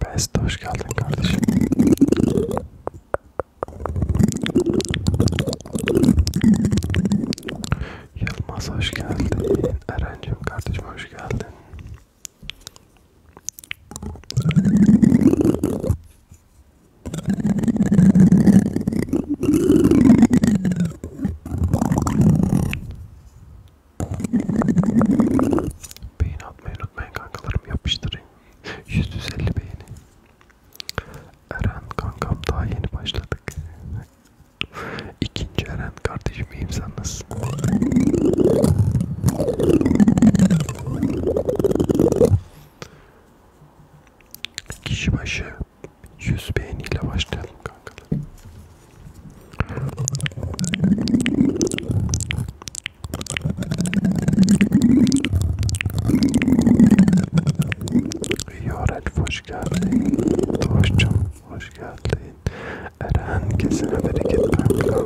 Beste hoş geldin kardeşim. Yılmaz hoş geldin. Erencim kardeşim hoş geldin. Beyin atmayı unutmayın kankalarım yapıştırın. 150 beğeni. Eren kankam daha yeni başladık. İkinci Eren kardeşim iyiyim sen nasılsın? Kişi başı 100 beğeniyle başlayalım kankalar. Yorel hoş geldin. Doğuşcum hoş geldin. Eren kesin bereket kanka.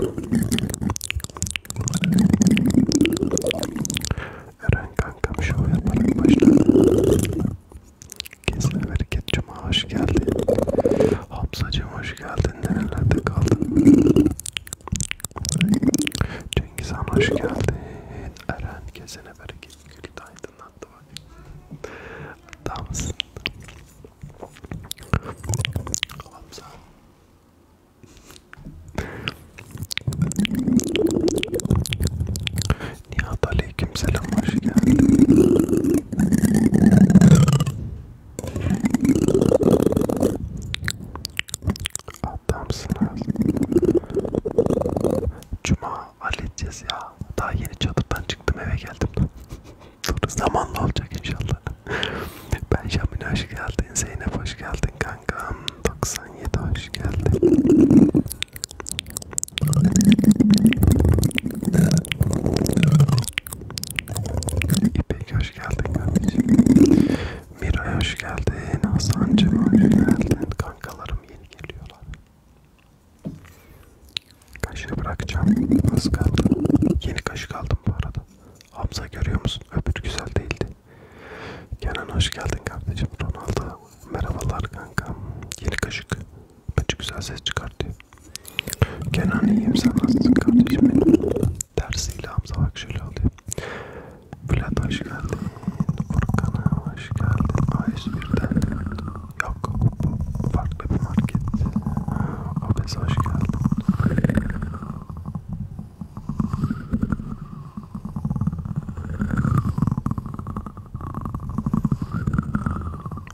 Eren kankam şov yaparak başladı. Kesin bereket cuma hoş geldin. Hamzacım hoş geldin. Nerelerde kaldın? Cengiz Han hoş geldin. Eren kesene bereket gülü de aydınlattı bak. Adamsın. Hamza. Nihat aleyküm selam hoş geldin adamsınız. Cuma halledeceğiz ya. Daha yeni çatıdan çıktım eve geldim. Dur zamanla olacak inşallah. ben Şamin hoş geldin. Zeynep hoş geldin kankam. 97 hoş geldin. İpek hoş geldin kardeşim. Miray hoş geldin. Hasan'cım hoş geldin. Kankalarım yeni geliyorlar. Kaşığı bırakacağım. Az kaldı. Yeni kaşık aldım bu arada. Hamza görüyor musun? Öbür güzel değildi. Kenan hoş geldin kardeşim. Ronaldo merhabalar kankam. Yeni kaşık. Bence güzel ses çıkartıyor. Kenan iyiyim sen nasılsın kardeşim benim? tersiyle Hamza bak şöyle oluyor. Bülent hoş geldin. Furkan'a hoş geldin. AS1'den yok. Bu farklı bir market. Obez hoş geldin.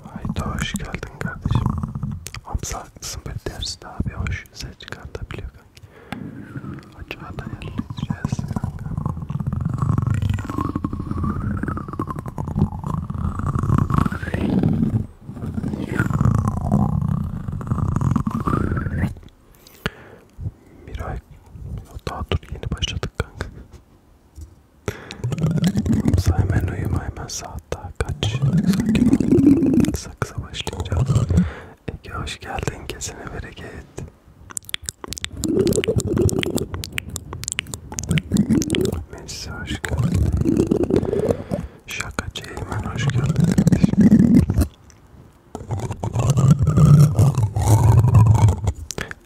Hayda hoş geldin kardeşim. Hamza haklısın böyle derste abi hoş ses çıkartabiliyor kanka. Aşağıda yerleyeceğiz kanka. Miray, daha dur yeni başladık kanka. Sen hemen uyuma hemen saat daha kaç? Sakin ol. Saksa başlayacağız. Ege hoş geldin kesine bereket. Messi hoş geldin. Şakacı Eymen hoş geldin kardeşim.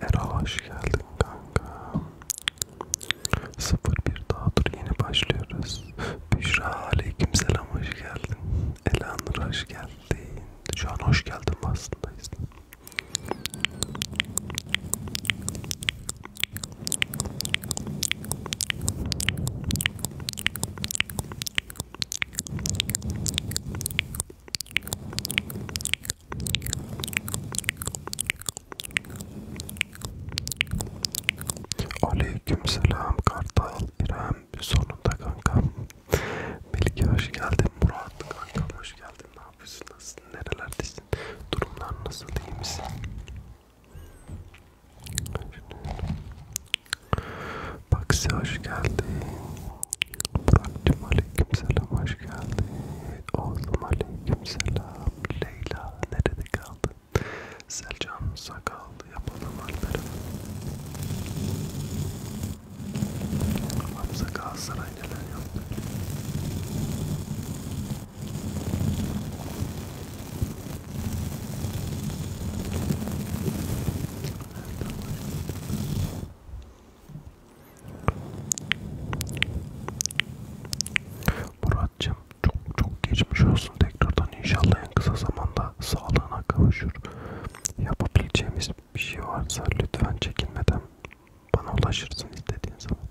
Erol hoş geldin kanka. 0-1 daha dur yeni başlıyoruz. Büşra aleyküm selam hoş geldin. Elanur hoş geldin. Şu an hoş geldin aslında. Aleykümselam Kartal İrem sonunda kankam. Melike hoş geldin. Murat kankam hoş geldin. Ne yapıyorsun? Nasılsın? Nerelerdesin? Durumlar nasıl? İyi misin? Baksi hoş geldin. Burak'cım aleykümselam hoş geldin. Oğlum aleykümselam. Leyla nerede kaldın? Selcan sakal yapalım Alper'e. Hamza Galatasaray neler yaptı. Muratcığım çok çok geçmiş olsun tekrardan inşallah en kısa zamanda sağlığına kavuşur. Yapabileceğimiz bir şey varsa lütfen çekinmeden bana ulaşırsın istediğin zaman.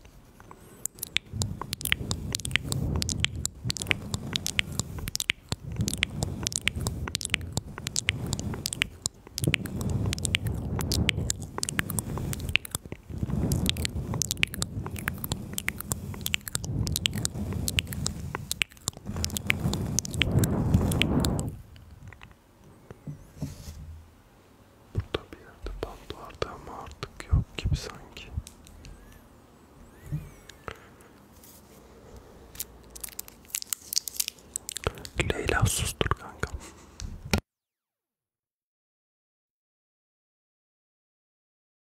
Burada bir yerde bant vardı ama artık yok gibi sanki. Leyla sustur kanka.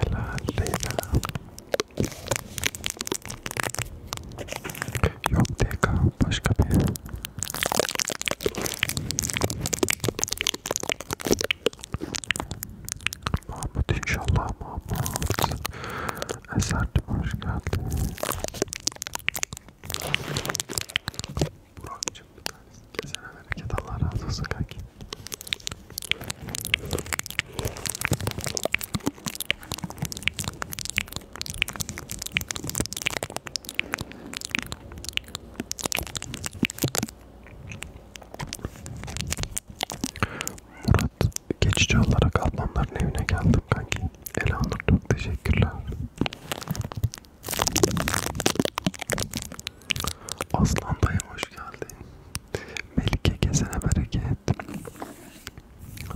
Helal Leyla. Yok DK başka bir yer. Mahmut inşallah Mahmut. Eser hoş geldin. Burak'cım bir tanesi. Kesene memleket Allah razı olsun kanki. Murat geçici olarak ablamların evine geldim kanki. Elanur çok teşekkürler. Aslan dayım hoş geldin. Melike gezene bereket.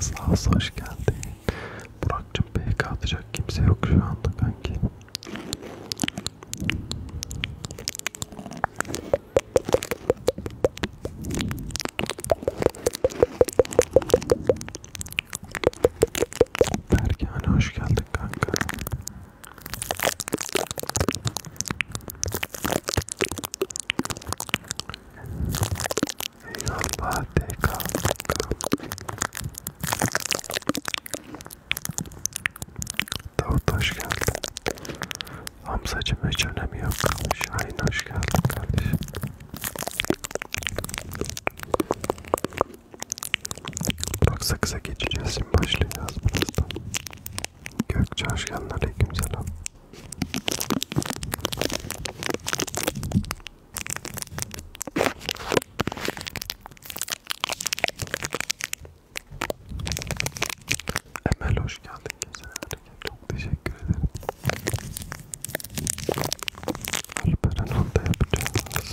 Sağ ol, hoş geldin. Burak'cım PK atacak kimse yok şu anda kanki. Berkane hoş geldin kanka. Eyvallah DK. Davut hoş geldin. Hamzacım hiç önemi yok. Şahin hoş geldin kardeşim. Bak sakıza geçeceğiz şimdi başlayacağız birazdan. Gökçe hoş geldin aleykümselam. Emel hoş geldin kesinlikle çok teşekkür ederim. Alperen onda yapacağız.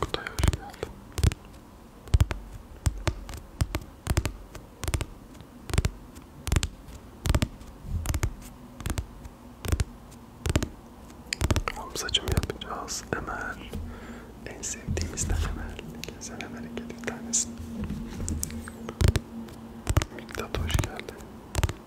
Kutay hoş geldin. Hamzacım yapacağız. Emel. En sevdiğimizden Emel. Güzel Emel'e gelip bir tanesini. Miktat hoş geldin.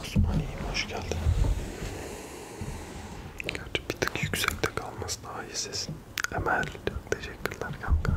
Osmaniyim hoş geldin. Gerçi bir tık yüksekte kalması daha iyi sesin. Emel çok teşekkürler kanka.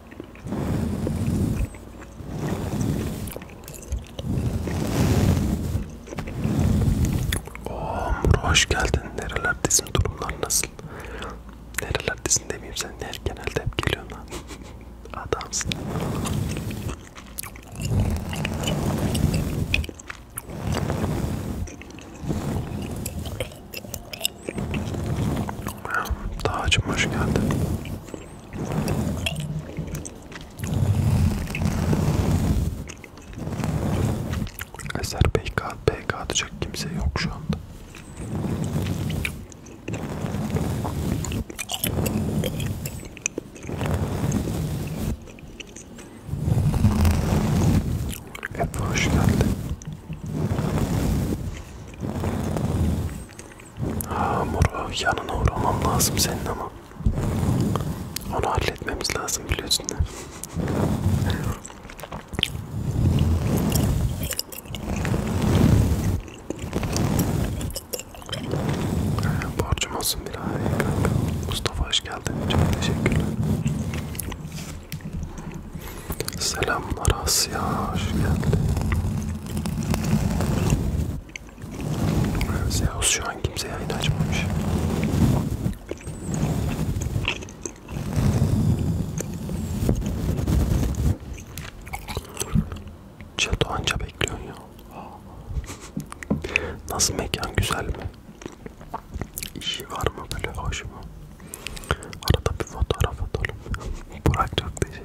Oğlum hoş geldin. Nerelerdesin? Durumlar nasıl? Nerelerdesin demeyeyim sen. Her genelde hep geliyorsun lan. Adamsın. Dağcım hoş geldin. Eser PK, PK atacak kimse yok şu anda. Efe hoş geldin. Ha Muro oh, yanına uğramam lazım senin ama. Onu halletmemiz lazım biliyorsun da. Borcum olsun bir abi kanka. Mustafa hoş geldin. Çok teşekkürler. Selamlar Asya hoş geldin. Zeus şu an kimse yayın açmamış. Çato anca bekliyorsun ya. Nasıl mekan güzel mi? İşi var mı böyle hoş mu? Arada bir fotoğraf atalım. Burak çok teşekkür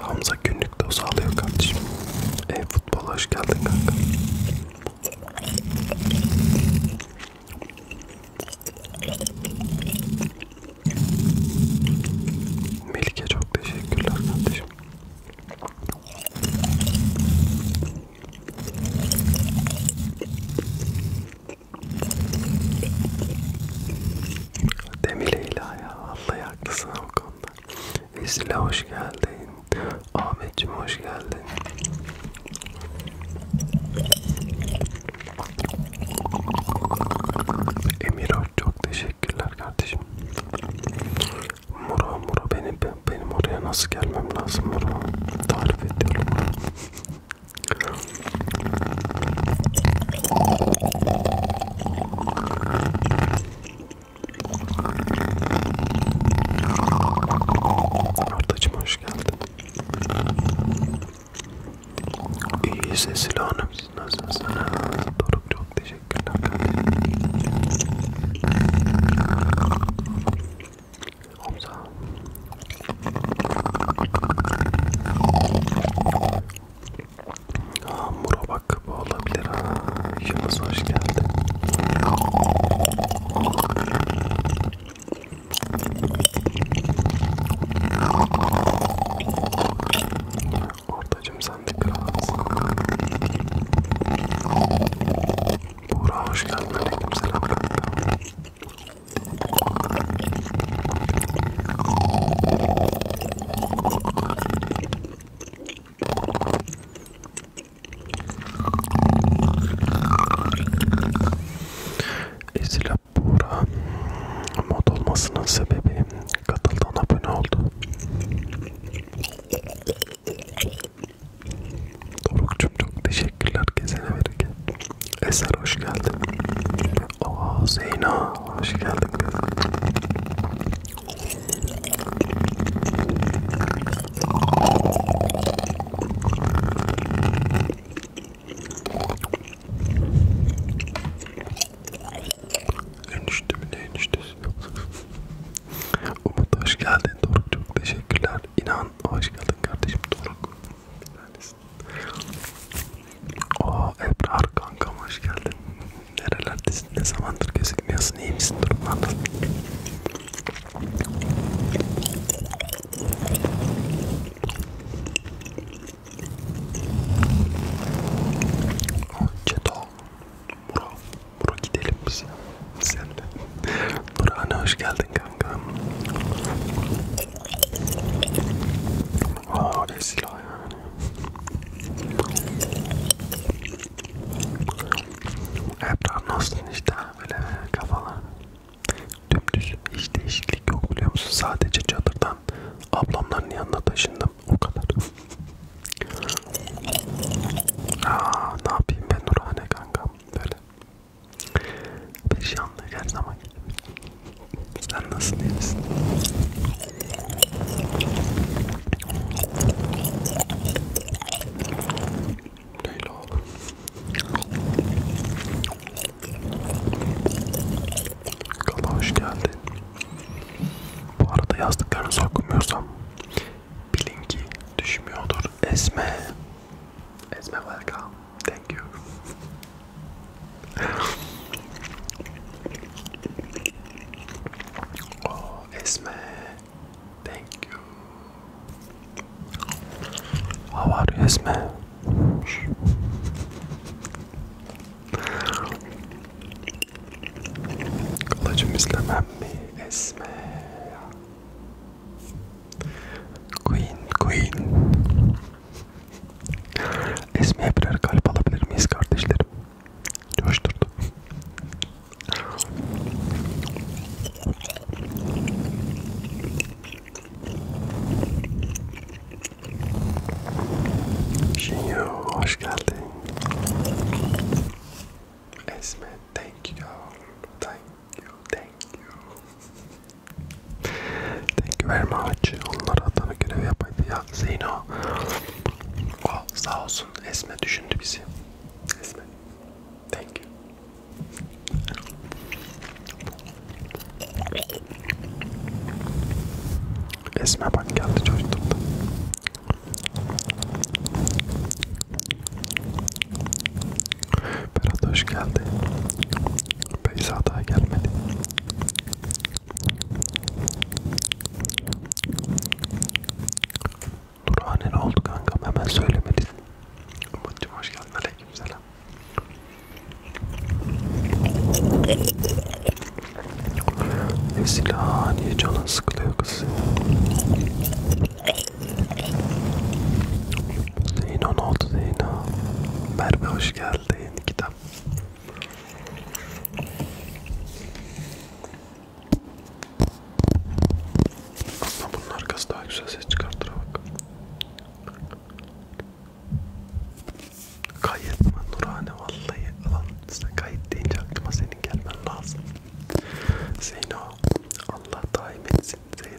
Hamza günlük doz alıyor kardeşim. E futbola hoş geldin kanka. Melike çok teşekkürler kardeşim. Demir Leyla ya vallahi haklısın o konuda. Esile hoş geldin. Ahmetciğim hoş geldin. Emir çok teşekkürler kardeşim. Muro muro benim benim oraya nasıl gelmem lazım muro tarif ediyorum. Ortacım hoş geldin. İyi sesli hanım. Nasılsın? Doruk çok teşekkürler. Hamza. Aa, Muro bak bu olabilir ha. Yunus hoş geldi. Ortacım sen de biraz. Buğra hoş geldin. Aleyküm selam. Ezila Buğra mod olmasının sebebi katıldan abone oldu. Doruk'cum çok teşekkürler gezene verirken. Eser hoş geldin. Aa Zeyna hoş geldin kız. Enişte mi ne eniştesi? Umut hoş geldin Doruk çok teşekkürler. İnan hoş geldin kardeşim Doruk. Neredesin? Oo Ebrar kankam hoş geldin. Nerelerdesin? Ne zamandır gözükmüyorsun? İyi misin? Durumdan Çeto, Muro, Muro gidelim biz ya. Sen de. Burhan'a hoş geldin kanka kanka. Aa silah yani. Ebrar nasılsın işte böyle kafalar. Dümdüz hiç değişiklik yok biliyor musun? Sadece çadırdan ablamların yanına taşındım. O kadar. Aa, ne yapayım ben Nurhane kankam böyle bir şey anlıyor her zaman Sen nasıl değil misin? Leyla Kala hoş geldin Bu arada yazdıklarınızı okumuyorsam Bilin ki düşmüyordur Esme Esme Valka Thank you. oh, Esme. Thank you. How are you, Esme? Kılıcım istemem mi? Esme. Queen, Queen. Esmi'ye birer kalp alabilir miyiz kardeşlerim? Coşturdu. Şinyo hoş geldin. Esme thank you, thank you, thank you. Thank you very much. Onlar adına görev yapaydı ya Zeyno. O oh, sağ olsun Esme düşündü bizi. Esme. Thank you. Esme bak geldi çocukluğumda. Berat hoş geldi. Beyza daha gelmedi. Nurhane ne oldu kankam hemen söylemedin. Umut'cum hoş geldin. Aleykümselam. Esila niye canın sıkılıyor kız? Zeyno ne oldu Zeyno? Merve hoş hoş geldi yeni kitap. Ama bunun arkası daha güzel ses çıkartır bak. Kayıt mı Nurhane vallahi alan size kayıt deyince aklıma senin gelmen lazım. Zeyno Allah daim etsin Zeyno.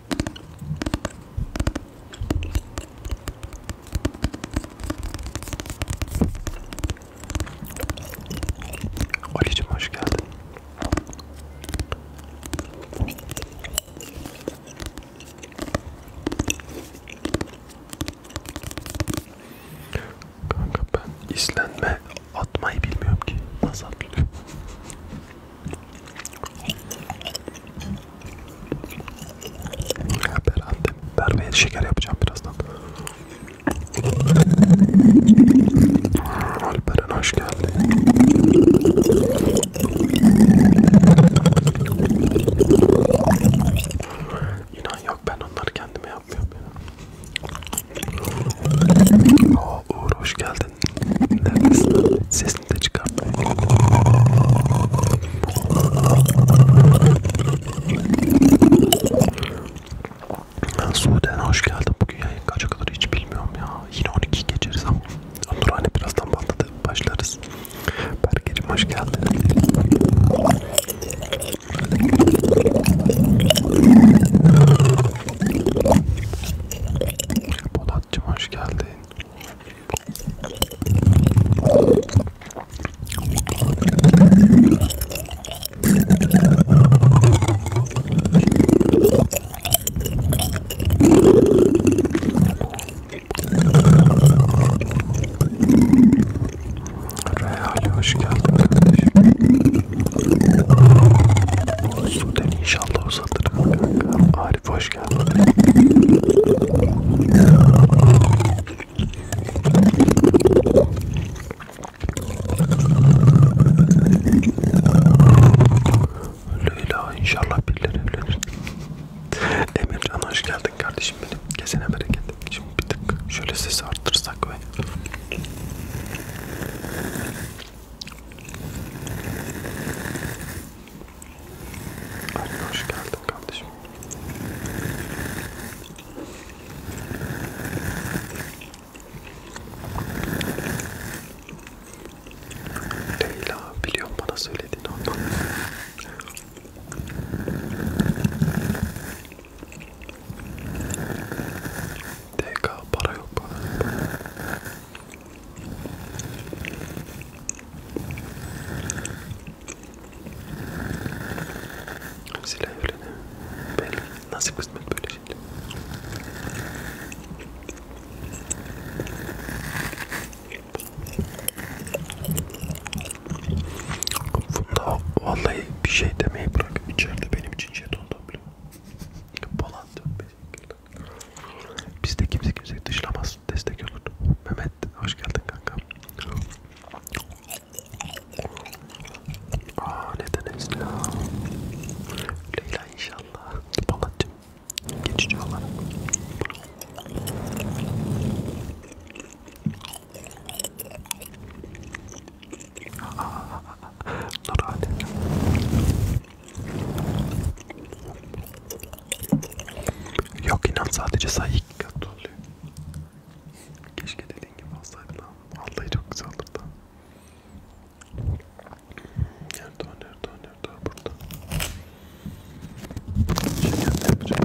Ali'cim hoş geldin. Kanka ben islenme atmayı bilmiyorum ki. Nasıl atılıyor? Beraber annem berbeye şeker yapacağım birazdan. Alperen hoş geldin. İnan yok ben onları kendime yapmıyorum. Ya. Oo, Uğur hoş geldin. Neredesin? sesini de çıkar. Ben Suudi'ye hoş geldin. Bugün yayın kaça kadar hiç bilmiyorum ya. Yine 12 geçeriz ama. Onur hani birazdan patladı. Başlarız. Berkeciğim hoş geldin. Polatcığım hoş geldin. Reyhan'la hoş geldin kardeşim. Suden inşallah uzatırım kanka. Arif hoş geldin. Leyla inşallah birileri evlenir. Emircan hoş geldin kardeşim benim. Kesene bereket. Şimdi bir tık şöyle sesi arttırsak ve... Ali hoş geldin kardeşim. Leyla biliyorum bana söylediğini ondan. DK para yok bana. Silah öyle ne? Belki nasip kısmet böyle şeyler. Bunda vallahi bir şey demeyi bırak. İçeride benim için jeton şey topluyor. Polan dönmeyecek. Bizde kimse kimseyi dışlamaz olsun destek olur. Mehmet hoş geldin kanka. Aa neden Esra? Leyla inşallah. Balatcım geçici olarak. Aa, Nur Alem. Yok inan sadece sayı iki kat oluyor. Keşke dediğin gibi olsaydı lan. Vallahi çok güzel olurdu. Nerede o nerede o nerede o burada. Şeker ne yapacağım?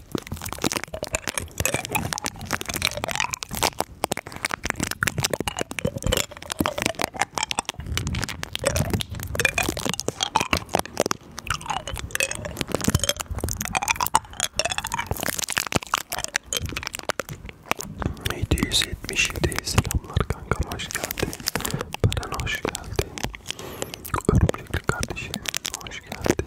777 selamlar kankam hoş geldin. Baran hoş geldin. Örümcekli kardeşim hoş geldin.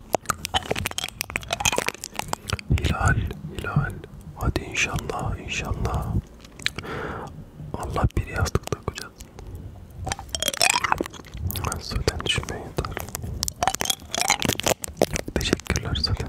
Hilal, hilal. Hadi inşallah, inşallah. Allah bir yastıkta kocatsın. Zaten düşünmeye yeter. Teşekkürler zaten.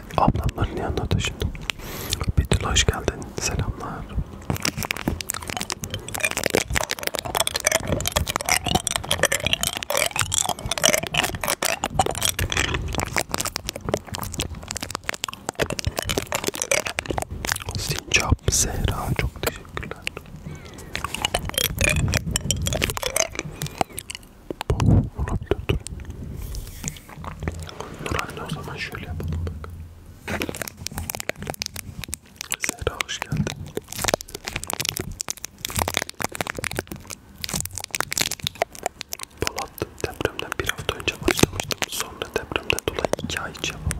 ablamların yanına taşındı. Betül hoş geldin. Selamlar. Sincap Zehra çok teşekkürler. Bu olabilir dur. Dur anne o zaman şöyle yapalım bak. Zehra hoş geldin. Polat depremden bir hafta önce başlamıştım. Sonra depremden dolayı iki ay hiç yapamadım.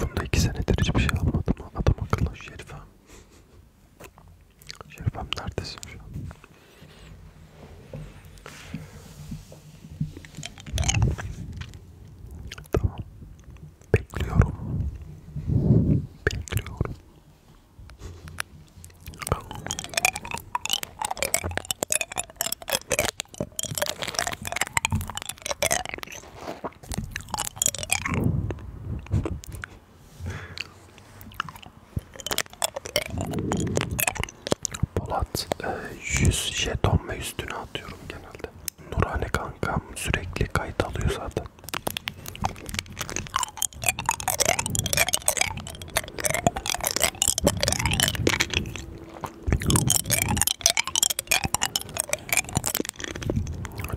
Bunda iki senedir hiçbir şey almadım. Adam akıllı Şerifem. Şerifem neredesin şu an? Tamam. Bekliyorum. Bekliyorum. Polat 100 e, jeton ve üstüne atıyorum genelde. Nurhane kankam sürekli kayıt alıyor zaten.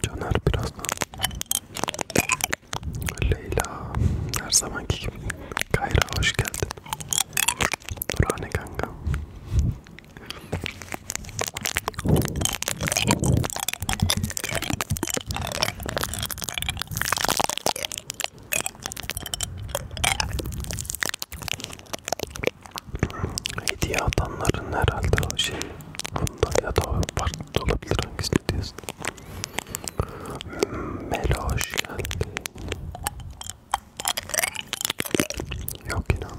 Caner biraz daha. Leyla her zamanki gibi. Kayra hoş geldin. Durane kanka. Hediye atanların herhalde o şey bunda ya da farklı olabilir hangisi diyorsun. Hmm, Melo hoş geldi. Yok inan.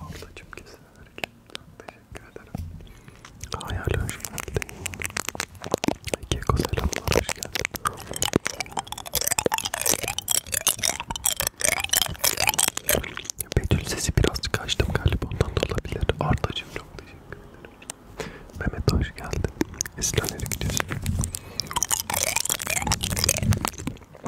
Ablacım güzel severken çok teşekkür ederim. Hayal hoş geldin. Keko selamlar hoş geldin. Betül sesi birazcık açtım galiba ondan da olabilir. Ardacığım çok teşekkür ederim. Mehmet hoş geldin. Esra nereye gidiyorsun?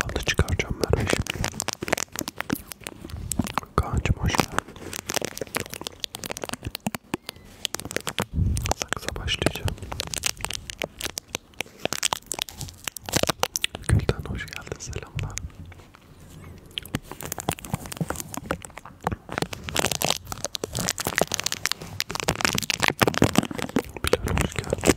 Bandı çıkaracağım ben şimdi. Kaan'cım hoş geldin. Saksa başlayacağım. Gülden hoş geldin selamlar. Bilal hoş geldin.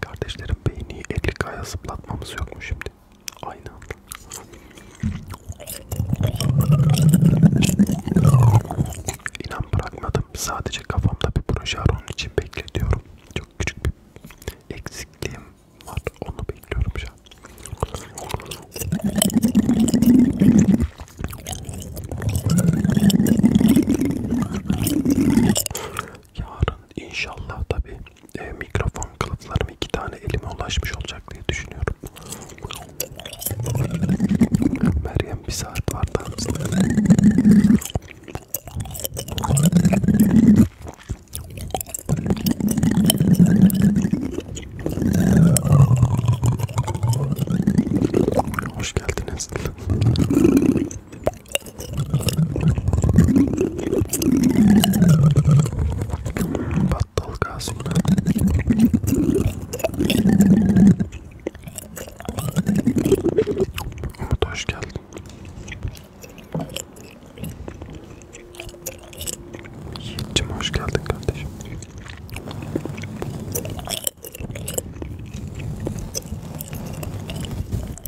Kardeşlerim beyni 50 kaya zıplatmamız yok mu şimdi? Aynı anda. İnan bırakmadım. Sadece kafamda bir proje var onun için bekletiyorum. Çok küçük bir eksikliğim var. Onu bekliyorum şu an yarın inşallah tabi e, mikrofon kılıflarım iki tane elime ulaşmış olacak diye düşünüyorum. Meryem bir saat var da. Hoş geldiniz. Battal Kasım'da Umut hoş geldin Yiğit'cim hoş geldin kardeşim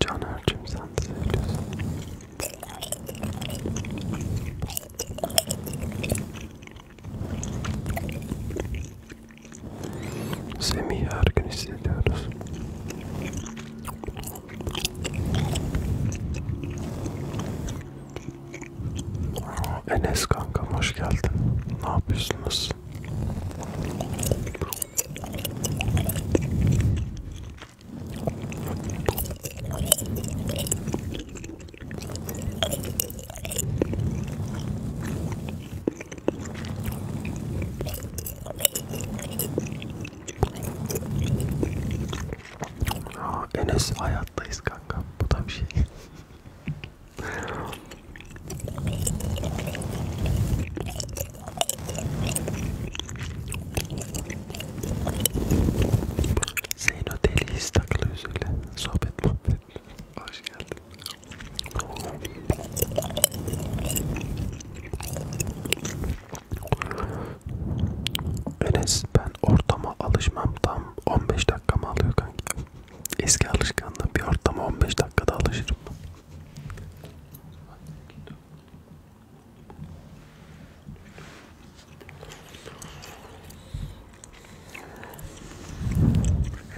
Caner'cim sen de seviyorsun. Semih'i her gün hissediyoruz. Enes kankam hoş geldin. Ne yapıyorsunuz? Aa, Enes hayattayız kanka. Bu da bir şey. Zeyno deliyiz takılıyoruz öyle. Sohbet muhabbet. Hoş geldin. Enes ben ortama alışmam tam 15 dakika mı alıyor kanki? Eski alışkanlığım bir ortama 15 dakikada alışırım.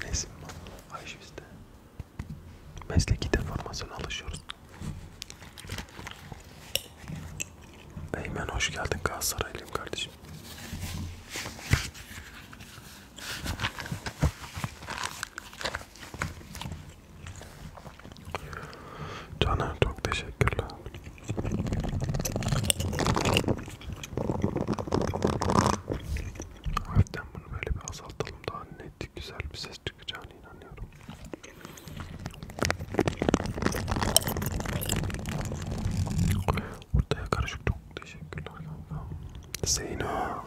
Enes'im Ayşe bizde. Mesleki deformasyona alışıyoruz. Eymen hoş geldin Galatasaraylıyım kardeşim. Caner çok teşekkürler. Hafiften bunu böyle bir azaltalım daha net güzel bir ses çıkacağına inanıyorum. Ortaya karışık çok teşekkürler kanka. Zeyno.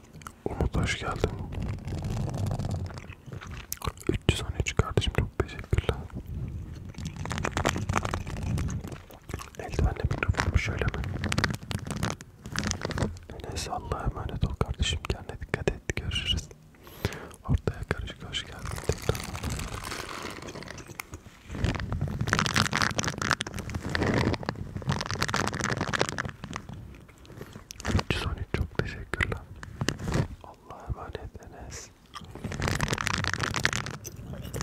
Umut hoş geldin. 313 kardeşim çok teşekkürler. Eldivenle mikrofonu şöyle mi? Neyse Allah'a emanet ol kardeşim. Kendine dikkat et. Görüşürüz. Ortaya karışık hoş geldin. Tekrar. Sony çok teşekkürler. Allah'a emanet Enes. Forma çalışıyor.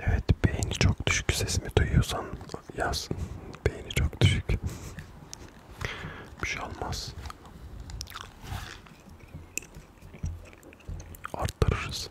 Evet, beyni çok düşük sesimi duyuyorsan yaz. Beyni çok düşük. Bir şey olmaz. Arttırırız.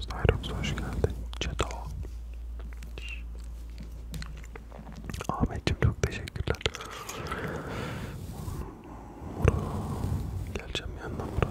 Zyrox hoş geldin. Çeto. Ahmetciğim çok teşekkürler. Mura. Geleceğim yanına Mura.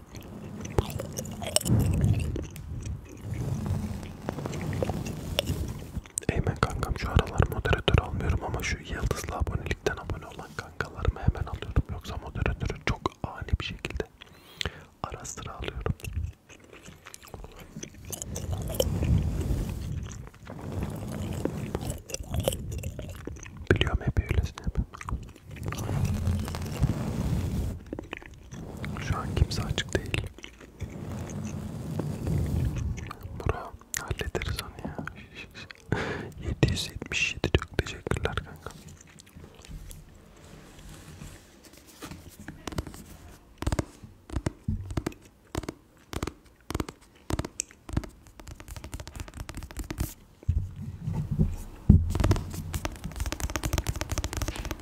Eymen kankam şu aralar moderatör almıyorum ama şu yıldızlı abonelikten abone olan kankalarımı hemen alıyorum. Yoksa moderatörü çok ani bir şekilde ara sıra alıyorum. Biliyorum hep öylesine hep. Şu an kimse açık değil. Bura hallederiz onu ya. 777 çok teşekkürler kanka.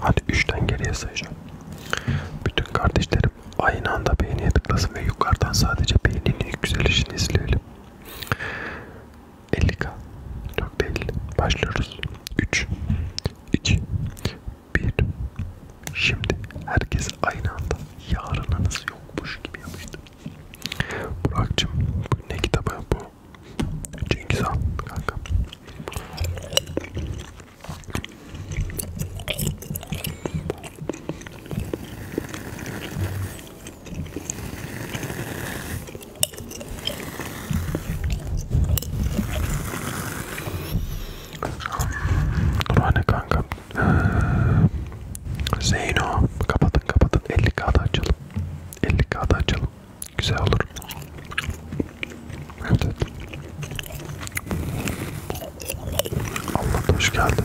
Hadi 3'ten geriye sayacağım. Bütün kardeşlerim aynı anda beğeniye tıklasın ve yukarıdan sadece beğeninin yükselişini izleyelim. 50k. Çok değil. Başlıyoruz. 3, 2, 1. Şimdi herkes aynı anda yarınınız yokmuş gibi yapıştı. Burak'cığım bu ne kitabı bu? Cengiz Han kanka. Kur'an'e kanka. Zeyno kapatın kapatın 50 kağıda açalım. 50 kağıda açalım güzel olur. Evet. Allah hoş geldin.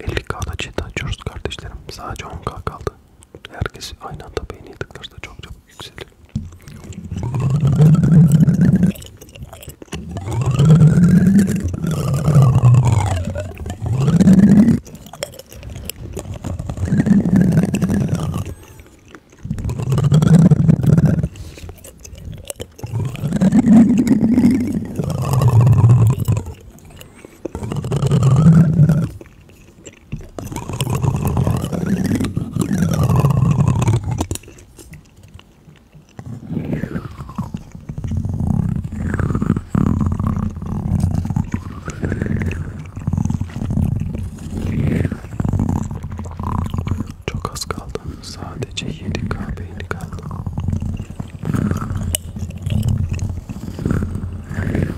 50k'da çete açıyoruz kardeşlerim. Sadece 10k kaldı herkes aynı anda beğeniye tıklarsa çok çok yükselir. Çok az kaldı. Sadece 7 kahveydi kaldı.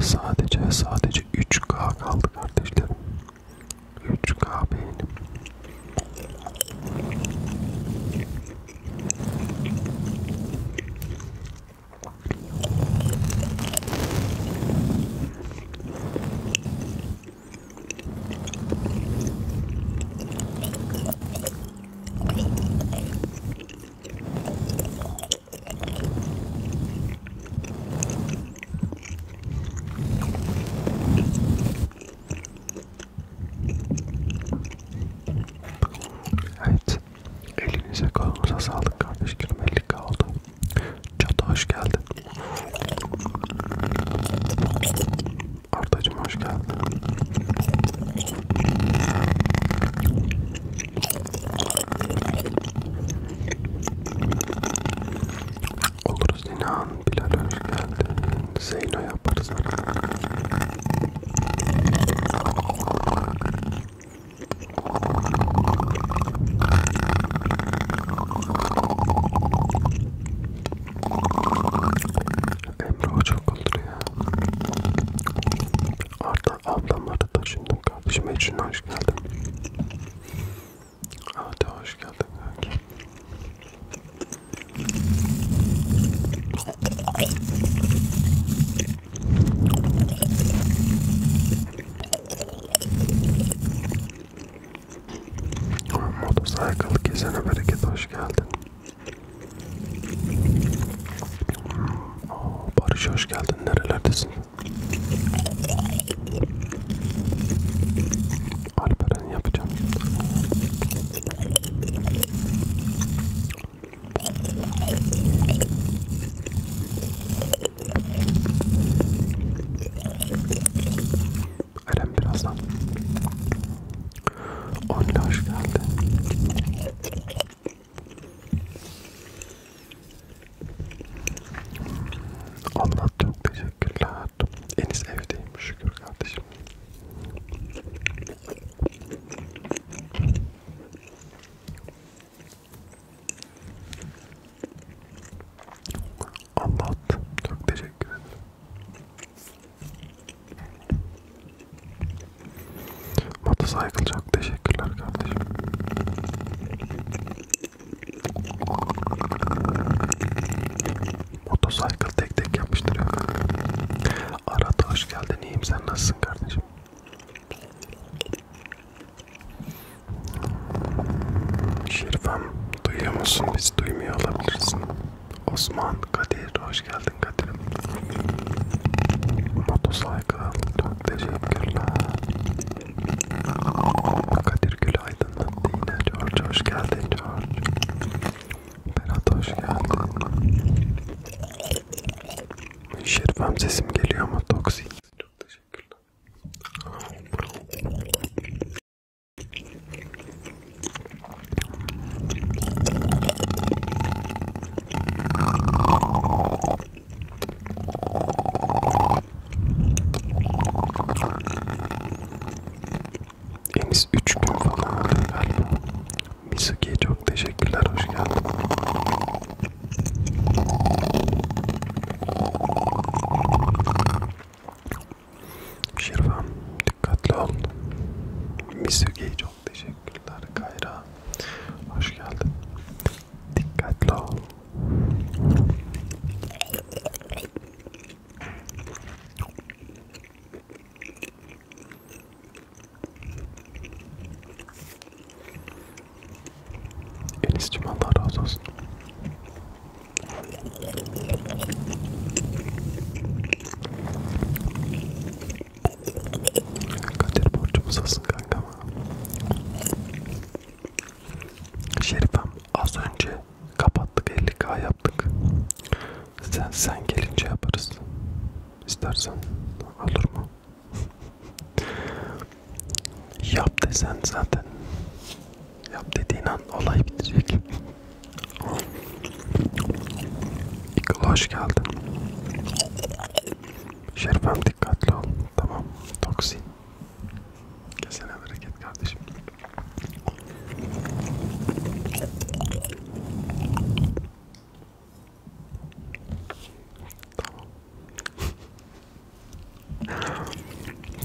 Sadece sadece 3K kaldı kardeşlerim. 3K beğenim. Evet, elinize kolunuza sağlık kardeşlerim, 50k oldu. Çatı hoş geldin. Artacım hoş geldin. Oluruz inan. Bilal hoş geldin. Zeyno yaparız artık. Emre o çok olur ya. Arda ablam arada şimdi kardeşim Ecrin hoş geldin. Hadi hoş geldin kanki. Motorcycle gezene bereket hoş geldin. Hmm, oo, Barış hoş geldin. Nerelerdesin? Alperen yapacağım. Eren birazdan. Onunla hoş geldi. Allah çok teşekkürler. Enis evdeyim şükür kardeşim. Anlattım. Çok teşekkür ederim. Motorcycle çok teşekkürler kardeşim. Motorcycle tek tek yapıştırıyor. Arada hoş geldin. İyiyim sen nasılsın kardeşim? Şerifem duyuyor musun? Biz duymuyor olabilirsin. Osman, Kadir, hoş geldin Kadir. Motosaykal, çok teşekkürler. Kadir Gülaydın, yine George, hoş geldin George. Berat, hoş geldin. Şerifem sesim geliyor mu? Toksik. Çok teşekkürler. Deniz 3 gün falan oldu galiba. Mizuki'ye çok teşekkürler, hoş geldin. Şirvan dikkatli ol. Misugi çok teşekkürler. Kayra hoş geldin. Dikkatli ol. Enis'cim Allah razı olsun. Kadir borcumuz olsun kankam. Şerifem az önce kapattık 50k yaptık. Sen sen gelince yaparız. İstersen olur mu? Yap desen zaten. Yap dediğin an olay bitecek. İkol hoş geldin. Şerifem dikkatli ol. Tamam. Toksin. Kesene bereket kardeşim. Tamam.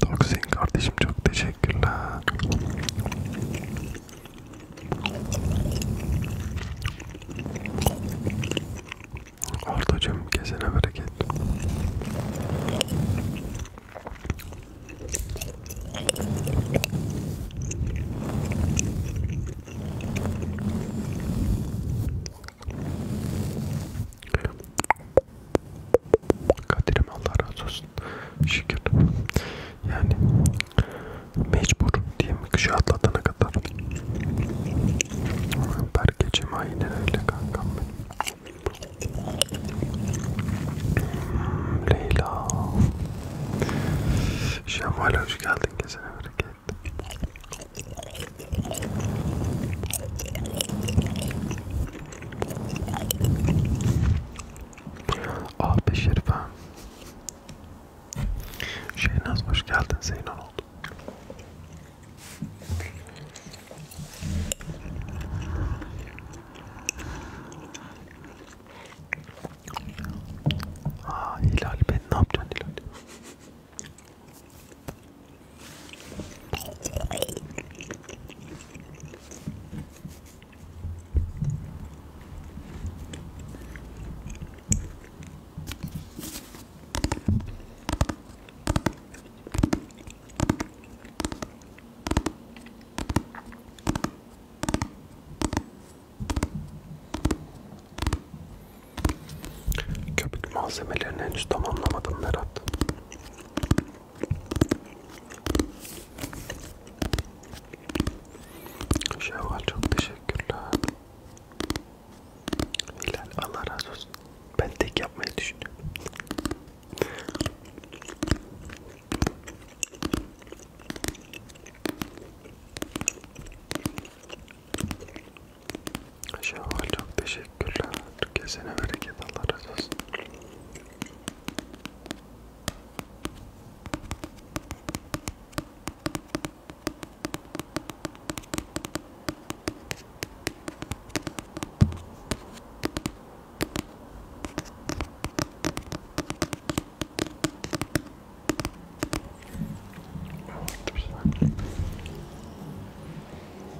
Toksin kardeşim çok teşekkürler. Ortacım kesene bereket. Kadir'im Allah razı olsun. Şükür. Yani mecbur diyeyim kışı atlatana kadar. Berkeciğim aynen öyle kankam benim. Hmm, Leyla. Şevval hoş geldin. Kesene bereket. Ah be Şerifem. Şeynaz hoş geldin. Zeynon oldu. Aa Hilal ben ne yapacaksın Hilal? Köpük malzemelerini henüz tamamlamadım Berat. Şevval çok teşekkürler. Hilal Allah razı olsun. Ben tek yapmayı düşünüyorum. Şevval çok teşekkürler. Kesene bereket Allah razı olsun.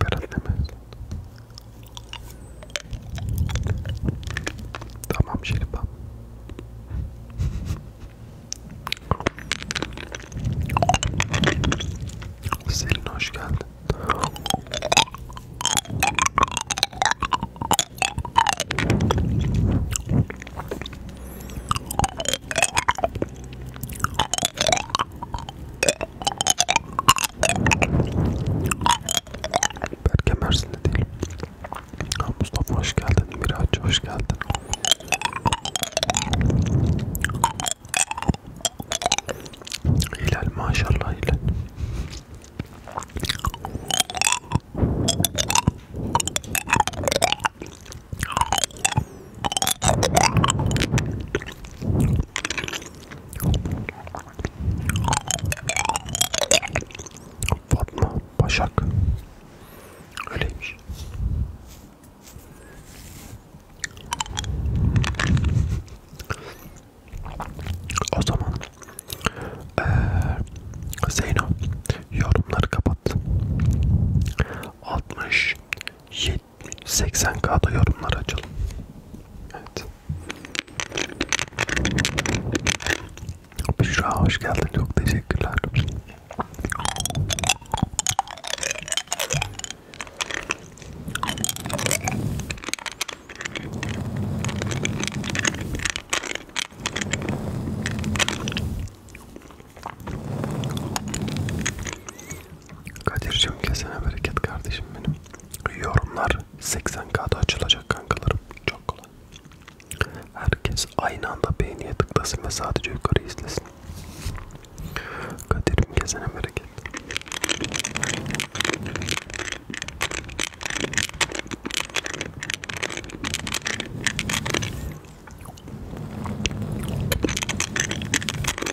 Berat demez. Tamam Şerifam. Selin hoş geldin. Berke Mersin'de değil. Ha, Mustafa hoş geldin. Miraç hoş geldin. Hilal maşallah Hilal. Fatma Başak öyleymiş. O zaman ee, Zeyno yorumları kapat. 67 80k'da yorumlar açalım. Evet. Büşra hoş geldin. Çok teşekkürler. Kadir'cim kesene bereket kardeşim benim. Yorumlar 80k'da açılacak kankalarım. Çok kolay. Herkes aynı anda beğeniye tıklasın ve sadece yukarı izlesin. Kadir'im kesene bereket.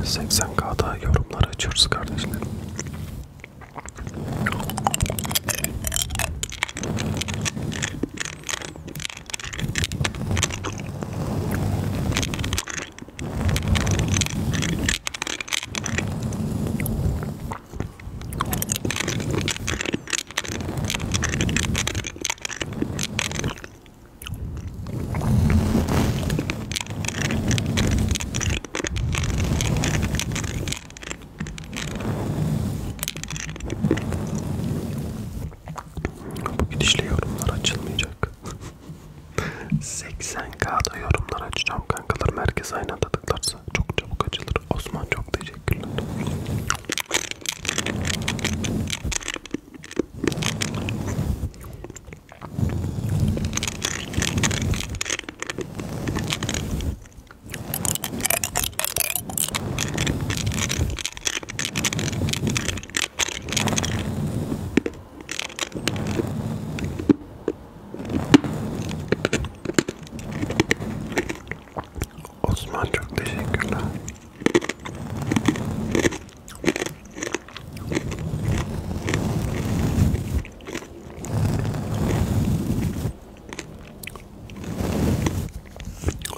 80K'da yorumlar açıyoruz kardeşlerim. Bu gidişle yorumlar açılmayacak. 80k'da yorumlar açacağım kankalarım. Herkes aynı anda tıklarsa çok çabuk açılır. Osman çok teşekkürler. Osman çok teşekkürler.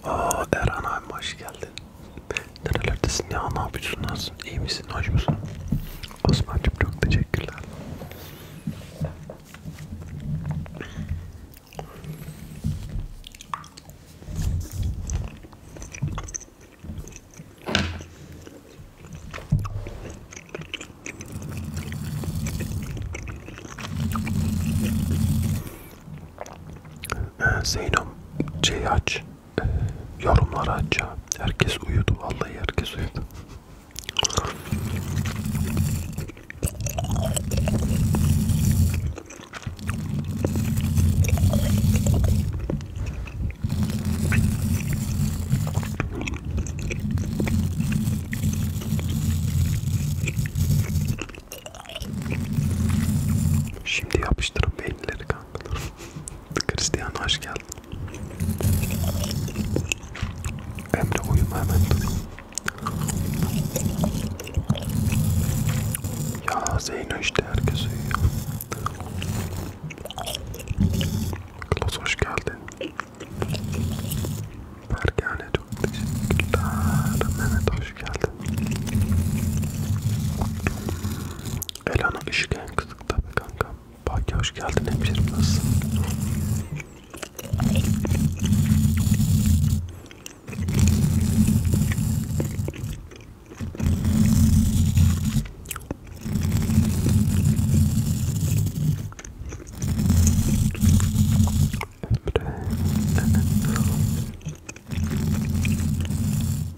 Aa Eren abi hoş geldin. Nerelerdesin ya? Ne yapıyorsun? Nasılsın? İyi misin? Hoş musun? Osman'cığım çok teşekkürler. Ee, Zeynep, Ceyhaç, e, yorumları açacağım. Herkes uyudu vallahi herkes uyudu. Şimdi yapıştırın beyinleri kan. Cristiano hoş geldin. Emre uyuma hemen dur. Ya Zeyno işte herkes uyuyor. Klos hoş geldin. Bergane çok teşekkürler. Mehmet hoş geldin. Elana ışık en kızık tabi kankam. Baki hoş geldin hemşerim nasılsın? Emre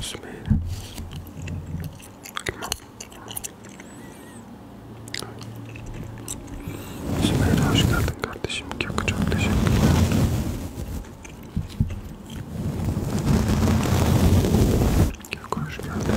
Sümeyye. Sümeyye hoş geldin kardeşim. Çok çok teşekkürler. Çok hoş geldin.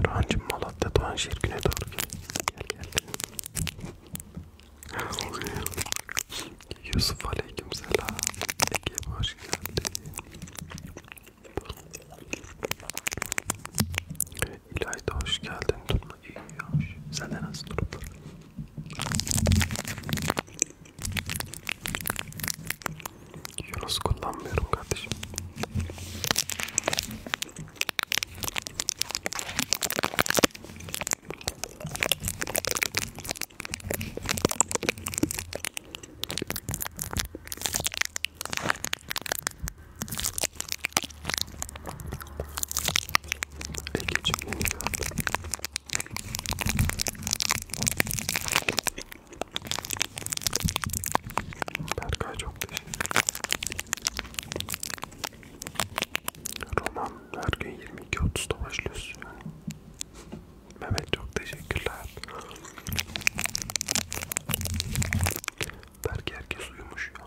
Erhan'cım Malatya Doğan şehir güne doğru gel. Gel gel. Yusuf aleyküm selam. Ege hoş geldin. İlay da hoş geldin. Durma iyi hoş. Senden nasıl durumlar? Yunus kullanmıyorum kardeşim. Ege cümleni Berkay çok teşekkür Roman her gün 22.30'da başlıyoruz yani. Mehmet çok teşekkürler. Belki herkes uyumuş ya.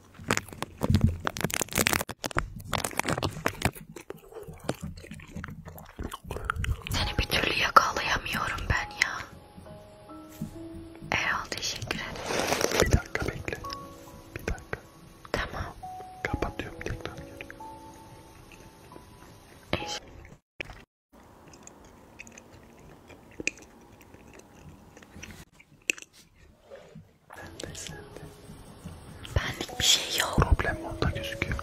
Seni bir türlü yakalayamıyorum ben ya. Erol teşekkür ederim. Bir dakika bekle. Bir dakika. Tamam. Kapatıyorum tekrar geliyorum. Eş Sende sende. Benlik bir şey yok. Problem orada gözüküyor.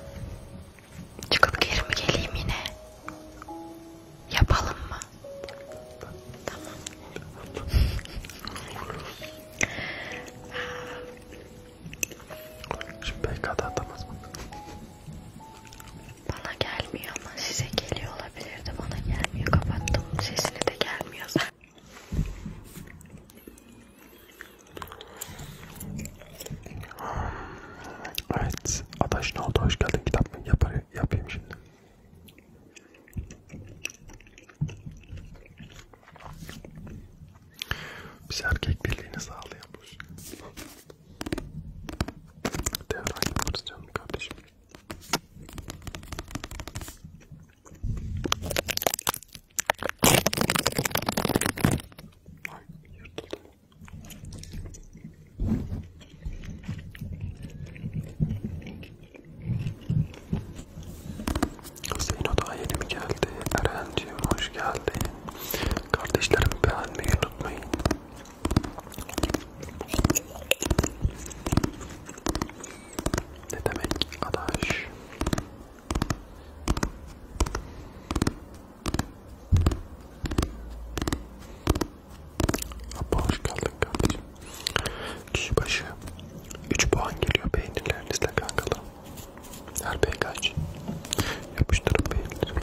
Çıkıp geri mi geleyim yine? Yapalım mı? Tamam. Şimdi PK'da atamaz mı? Bana gelmiyor ama size geliyorlar olabilirdi bana gelmiyor kapattım sesine de gelmiyor zaten. Evet Adaş ne oldu hoş geldin kitap mı Yapar, yapayım şimdi. Biz erkek birliğini sağlayalım. Devran yaparız canım kardeşim. Ay yırtıldı mı? Zeyno daha yeni mi geldi? Erenciğim hoş geldin. Kardeşlerim beğenmeyi unutmayın. Ne demek adaş? Abla hoş geldin kardeşim. Kişi başı 3 puan geliyor peynirlerinizle kankalarım. Her peykaç. Yapıştırın peynirleri.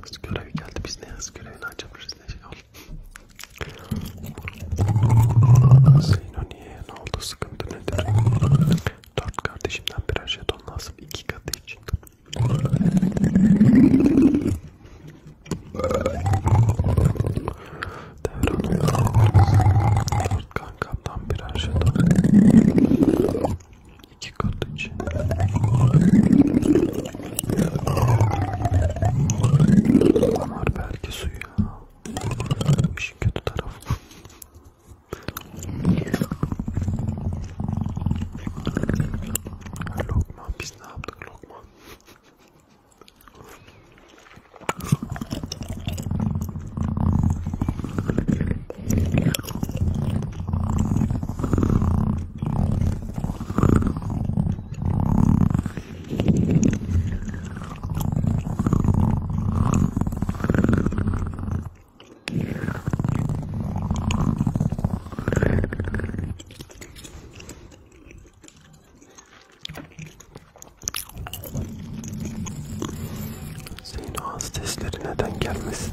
Kız görevi geldi. Biz ne yaz görevini açabiliriz ne şey Zeyno niye? Ne oldu? Sıkıntı nedir? Dört kardeşimden birer jeton lazım. İki katı için. Devran Dört kankamdan birer jeton iki kat için. Damar belki suyu ya. Bu işin kötü tarafı. Lokman biz ne yaptık Lokman? Senin ağız testleri neden gelmesin?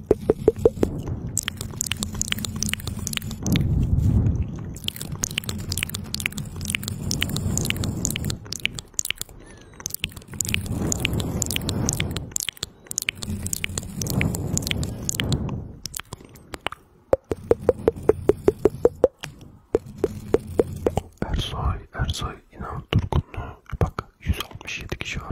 Ersoy, Ersoy inan durgunluğu. Bak 167 kişi var.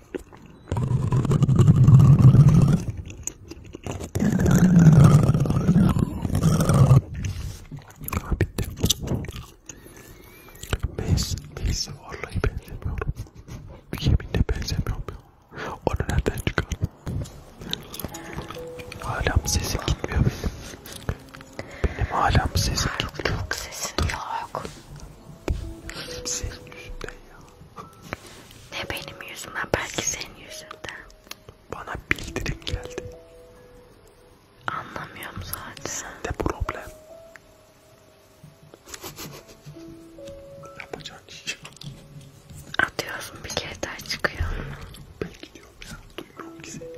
Bitti. Mace, Mace'e vallahi benzemiyorum. Yeminle benzemiyorum ya. Onu nereden çıkardın? Hala mı sesim gitmiyor benim? Benim hala mı sesim gitmiyor? Çok sesin yok. Senin yüzünden ya. Ne benim yüzümden? Belki senin yüzünden. Bana bildirim geldi. Anlamıyorum zaten. Sende problem. Yapacağın iş. Atıyorsun bir kere daha çıkıyor. Belki diyorum ya. Duymuyorum ki seni.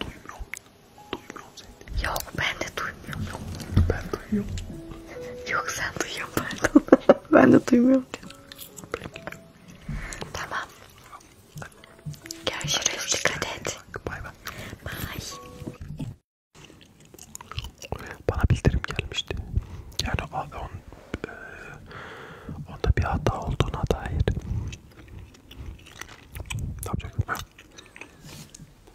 Duymuyorum. Duymuyorum seni. Yok ben de duymuyorum. Ben duyuyorum. Yok sen duyuyorsun pardon. ben de duymuyorum. Peki. Tamam. Görüşürüz. Görüşürüz. Dikkat et. Bay bay. Bay. Bana bildirim gelmişti. Yani on, e, onda bir hata olduğuna dair. Ne yapacaktım ben?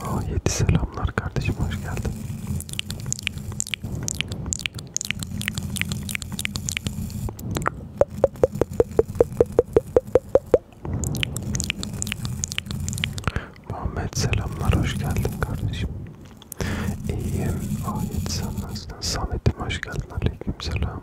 Aa, yedi selamlar kardeşim hoş geldin. Muhammed selamlar hoş geldin kardeşim. İyiyim. Ayet sen nasılsın? Samet'im hoş geldin. Aleyküm selam.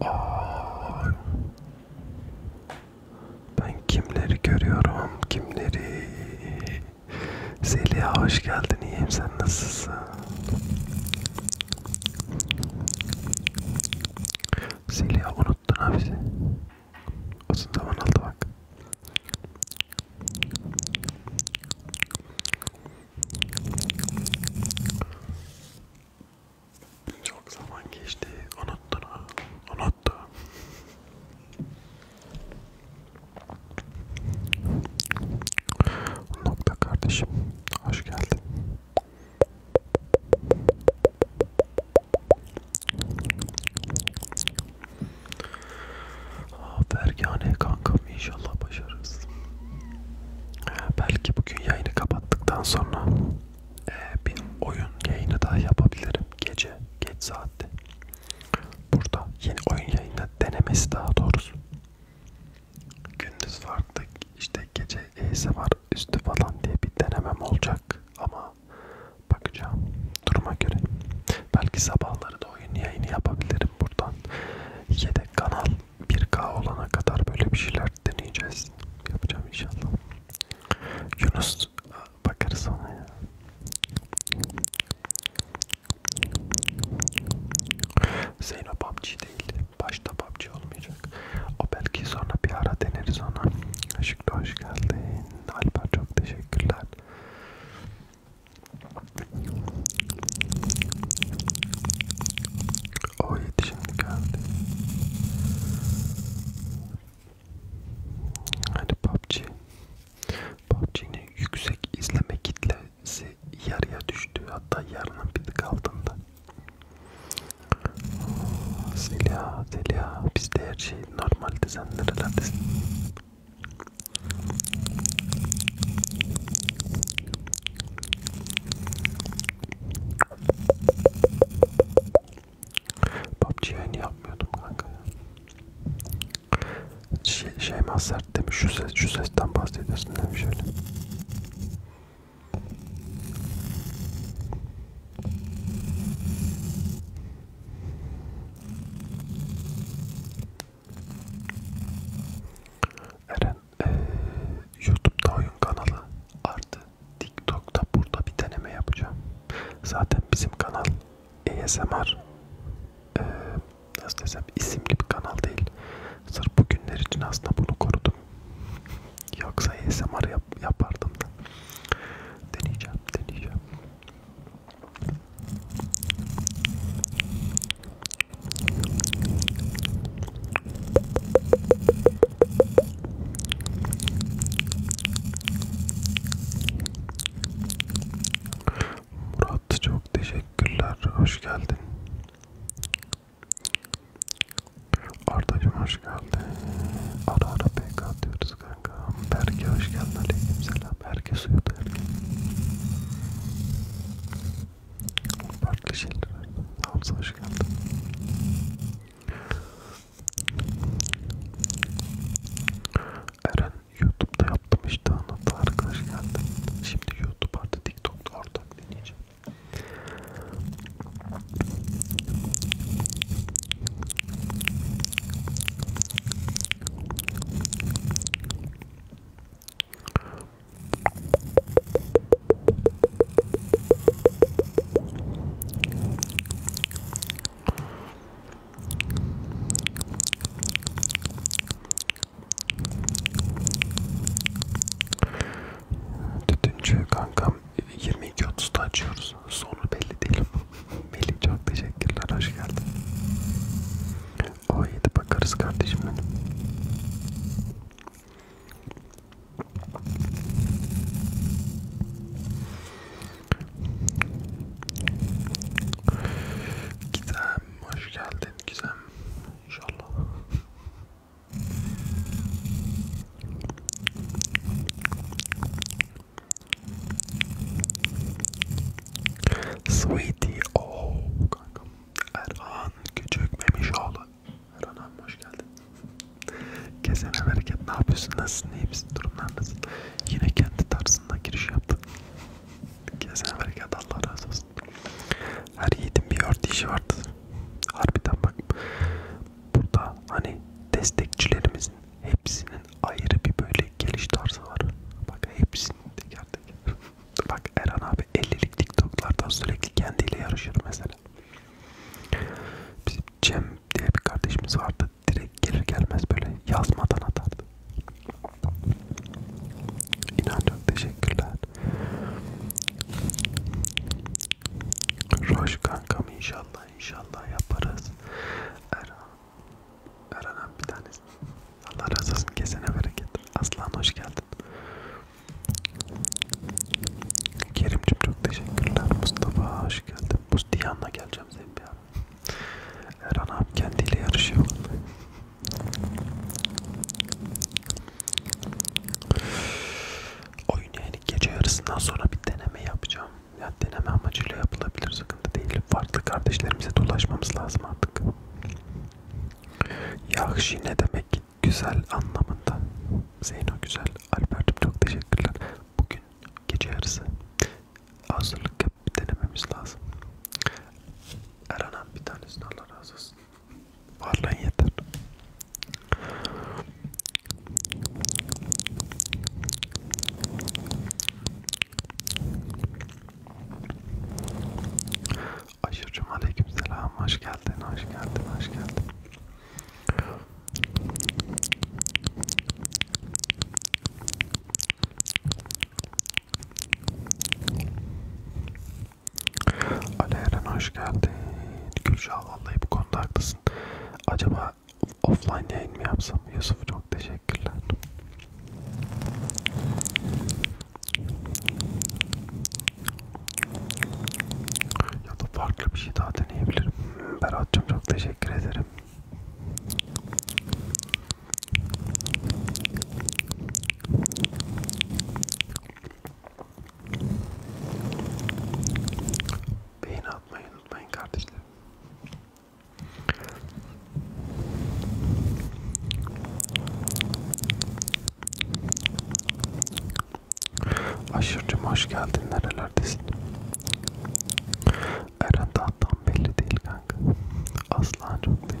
Aa, ben kimleri görüyorum, kimleri? Zeliha hoş geldin, iyiyim sen nasılsın? Zeliha unuttun ha bizi. Uzun zaman oldu bak. Çok zaman geçti, unuttun ha, unuttun. Nokta kardeşim, hoş geldin. Fergane kankam inşallah başarırız. Belki bugün yayını kapattıktan sonra e, bir oyun yayını daha yapabilirim gece geç saatte. Burada yeni oyun yayını denemesi daha doğrusu. Gündüz farklı işte gece iyisi var üstü falan diye bir denemem olacak ama bakacağım duruma göre. Belki sabahları da oyun yayını yapabilirim buradan. Yedek kanal 1K olana kadar böyle bir şeyler deneyeceğiz. Yapacağım inşallah. Yunus bakarız ona ya. Zeyno PUBG değil. Başta PUBG olmayacak. O belki sonra bir ara deneriz ona. Işıklı hoş geldin. Alper çok teşekkürler. O oh, yetişim geldi. Hadi PUBG. PUBG'nin yüksek izleme kitlesi yarıya düştü. Hatta yarının bir tık altında. Zeliha, Zeliha. Bizde her şey normal. Sen nerelerdesin? PUBG yayını yapmıyordum kanka ya. Şey, Şeyma sert demiş şu ses şu sesten bahsedersin demiş öyle. Eren ee, YouTube'da oyun kanalı artı TikTok'ta burada bir deneme yapacağım. Zaten bizim kanal ASMR ee, nasıl desem isimli bir kanal değil. Sırf bugünler için aslında bunu korudum. Yoksa ASMR yap yapardım da. Deneyeceğim, deneyeceğim. Murat çok teşekkürler. Hoş geldin. Arda'cım hoş geldin. Ara ara PK atıyoruz kanka. Berke hoş geldin. Aleyküm selam. Adam herkes uyudu. Farklı şeyler. Hamza hoş geldin. Eren YouTube'da yaptım işte anlattı arkadaş geldi. Şimdi YouTube artı TikTok'ta ortak deneyeceğim. Tütüncü kankam 22.30'da açıyoruz. Sonu belli değil. Melih çok teşekkürler. Hoş geldin. O oh, yedi bakarız kardeşim benim. Gizem hoş geldin Gizem inşallah. Sweetie o oh, kankam Erhan Küçük Memişoğlu Erhan abi hoş geldin Kesene bereket ne yapıyorsun nasılsın iyi misin durumlar nasıl Yine kendi tarzında giriş yaptın Kesene bereket Allah razı olsun Her yiğitin bir ört işi vardır Harbiden bak Burada hani destekçilerimizin hepsinin ayrı bir böyle geliş tarzı var Bak hepsinin teker geldik. Bak Eren abi 50'lik TikTok'lardan sürekli kendiyle yarışır mesela. Bizim Cem diye bir kardeşimiz vardı. Direkt gelir gelmez böyle yazmadan atardı. İnan çok teşekkürler. Roş kankam inşallah inşallah yaparız. Erhan Öğrenen bir tanesi. Allah razı olsun kesene bereket. Aslan hoş geldin. Kerimcim çok teşekkürler. Mustafa hoş geldin. Mustiyan'la geleceğim senin bir ara. Erhan abi kendiyle yarışıyor vallahi. Oyun yani gece yarısından sonra bir deneme yapacağım. Yani deneme amacıyla yapılabilir sıkıntı değil. Farklı kardeşlerimize dolaşmamız lazım artık. Yahşi ne demek? Güzel anlamında. Zeyno güzel. Albert'im çok teşekkürler. Bugün gece yarısı hazırlık yapıp denememiz lazım. Erhan bir tanesini Allah razı olsun. Varlığın yeter. Aşırıcım aleykümselam. Hoş geldin, hoş geldin, hoş geldin. Ali Eren hoş geldin. Gülşah vallahi bu konuda haklısın. Acaba offline yayın mı yapsam? Yusuf çok teşekkürler. Ya da farklı bir şey daha deneyebilirim. Berat'cığım çok teşekkür ederim. Beğeni atmayı unutmayın kardeşlerim. Aşırcım hoş geldin nerelerdesin? Eren daha tam belli değil kanka. Aslan çok teşekkürler.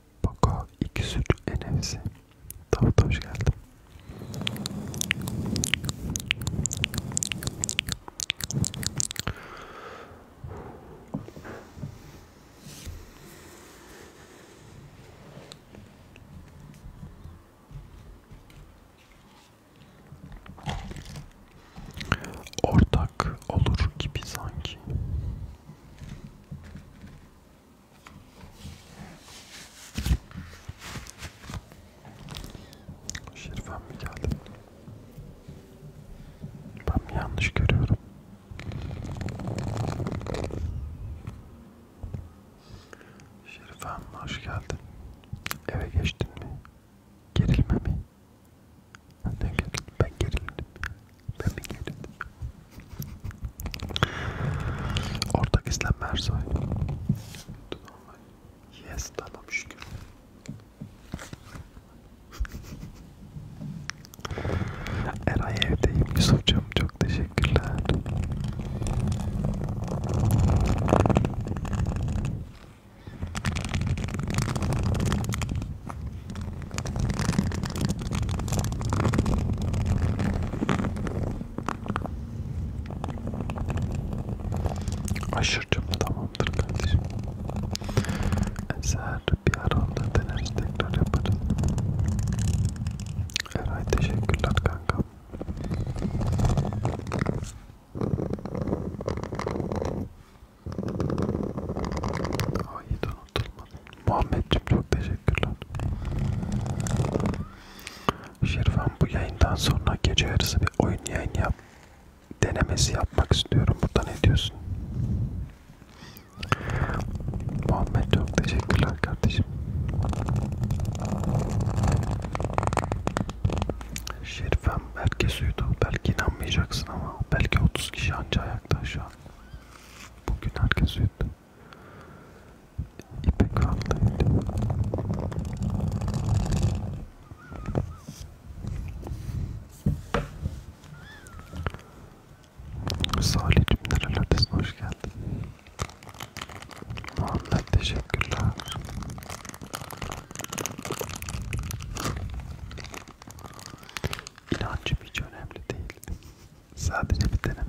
Boko 203 NFC Davut hoş geldin Ortak olur gibi sanki. Şerifem mi geldi? Ben mi yanlış görüyorum? Şerifem hoş geldin. Eve geçtin mi? Gerilme mi? Ben gerildim. Ben mi gerildim? Ortak İslam Ersoy. Yes tamam şükür. Eray evdeyim Yusuf'cum çok teşekkürler. Aşırıcım tamamdır kardeşim. Eser bir ara onda deneriz tekrar yaparız. Eray teşekkürler kankam. Ay unutulmadı. Muhammedciğim çok teşekkürler. Şirvan bu yayından sonra gece yarısı bir oyun yayın yap. Denemesi yapmak istiyorum. Burada ne diyorsun? Muhammed çok teşekkürler kardeşim. Şerifem herkes uyudu. Belki inanmayacaksın ama belki 30 kişi anca ayakta şu an. Bugün herkes uyudu. İpek haklıydı. Salih'cim nerelerdesin? Hoş geldin. Muhammed teşekkürler. İnancım hiç önemli değil. Sadece bir deneme.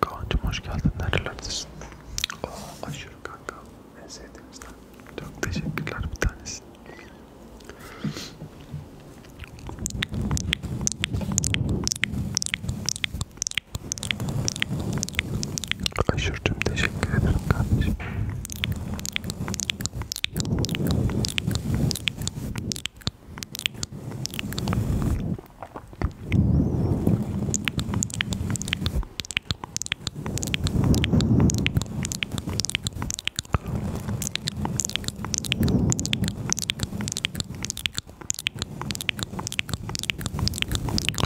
Kaan'cım hoş geldin. Nerelerdesin? Oh, aşırı kanka. En sevdiğimizden. Çok teşekkürler bir tanesi. Aşırıcım teşekkür ederim kardeşim.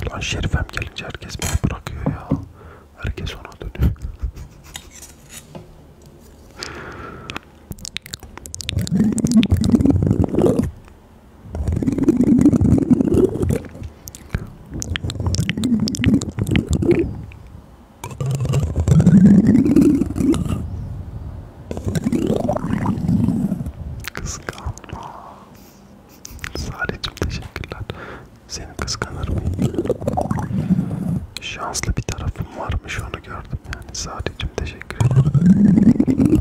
Ulan Şerifem gelince herkes beni bırakıyor ya. Herkes ona dönüyor. Kıskanma. Sadece teşekkürler. Seni kıskanır mıyım? Şanslı bir tarafım varmış onu gördüm yani. Sadece teşekkür ederim.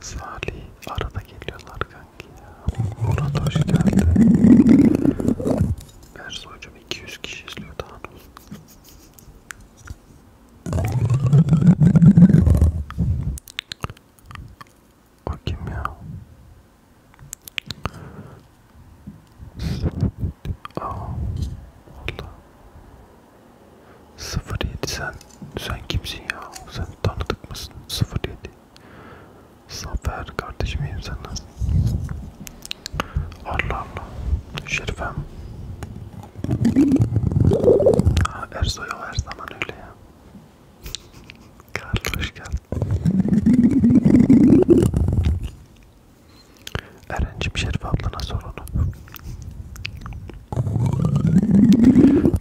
Salih arada geliyorlar kanki ya. Murat hoş geldi. Ersoy'cum 200 kişi izliyor daha ne O kim ya? Aa, valla. 07 sen sen kimsin ya? Sen tanıdık mısın? 07 Zafer kardeşim iyiyim sen nasılsın? Allah Allah Şerifem Ha Ersoy o her zaman öyle ya Karlı hoş geldin Eren'cim Şerif ablana sor onu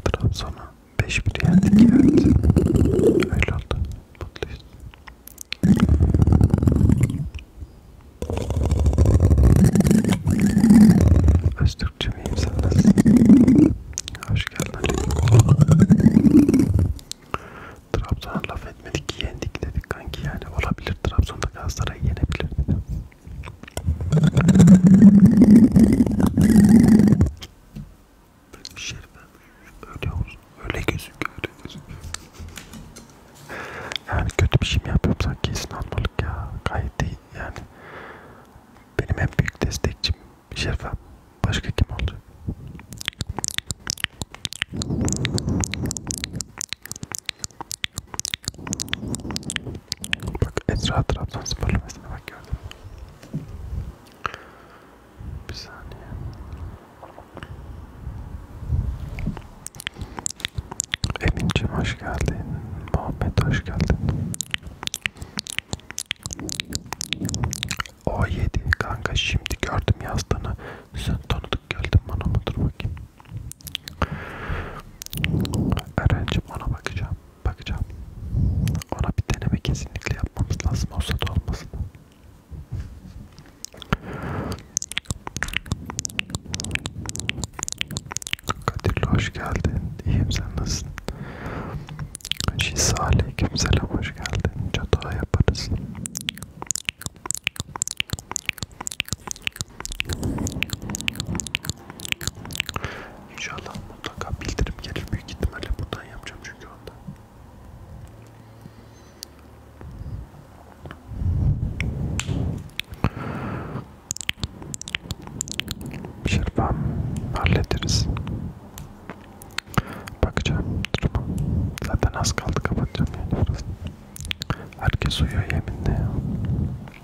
Trabzon'a 5-1 yendik evet. Öyle oldu. Mutluyuz. Öztürkçü miyim sen nasılsın? Hoş geldin. Trabzon'a laf etmedik yendik dedik kanki yani olabilir Trabzon'da Galatasaray'ı yenebilir. Şerifem öyle olsun. Öyle gözüküyor. Öyle gözüküyor. Yani kötü bir şey mi yapıyorum sanki inanmalık ya. Gayet değil yani. Benim en büyük destekçim Şerifem. Başka kim olacak? Bak Esra Trabzonspor mesela bak gördün mü? Bir saniye. Emin'cim hoş geldin. Muhammed hoş geldin. O 7 kanka şimdi gördüm yazdığını. Sen tanıdık geldin bana mıdır bakayım? Eren'cim ona bakacağım. Bakacağım. Ona bir deneme kesinlikle yapmamız lazım. Olsa da olmasın. Kadirli hoş geldin. İyiyim sen nasılsın? Şisa aleyküm selam hoş geldin. Çatağa yaparız. İnşallah mutlaka bildirim gelir büyük ihtimalle buradan yapacağım çünkü onda. Şirvan şey hallederiz. Bakacağım duruma. Zaten az kaldı kapatacağım yani burası. Herkes uyuyor yeminle ya.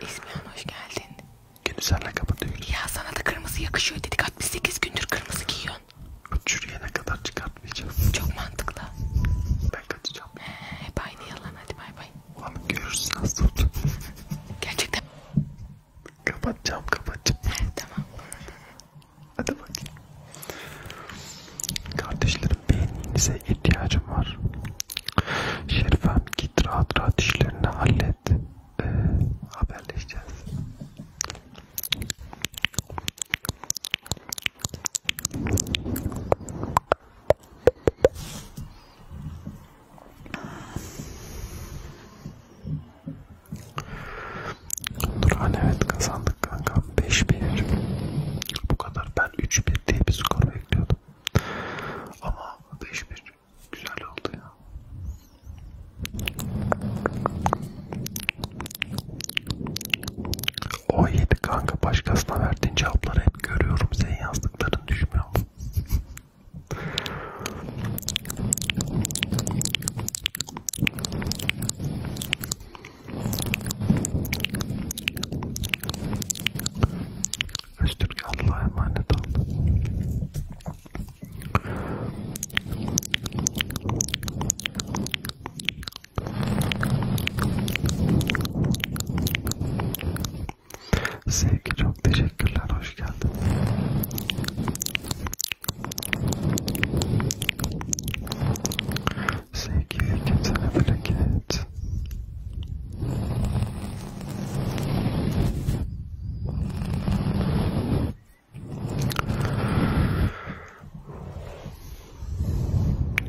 İzmir'e hoş geldin. Günü senle kapatıyoruz. Ya sana da kırmızı yakışıyor dedik. 68 gündür kırmızı giyiyorsun. Çürüyene kadar çıkartmayacağız. Çok mantıklı. Ben kaçacağım. He, hep aynı yalan hadi bay bay. Ulan görürsün az tut. Gerçekten. Kapatacağım kapatacağım. He, tamam. Hadi bakayım. Kardeşlerim beğeninize ihtiyacım var. Şerifem git rahat rahat işlerini hallet. Ee, haberleşeceğiz. Duran evet kazandık kanka 5-1 bu kadar ben 3-1 diye bir skor bekliyordum ama 5-1 güzel oldu ya. O yedi kanka başkasına verdiğin cevapları hep görüyorum. Senin yazdıkların düşmüyor. Öztürk Allah'a emanet ol. Sevgi çok teşekkürler, hoş geldin. Sevgi, kimsene bereket.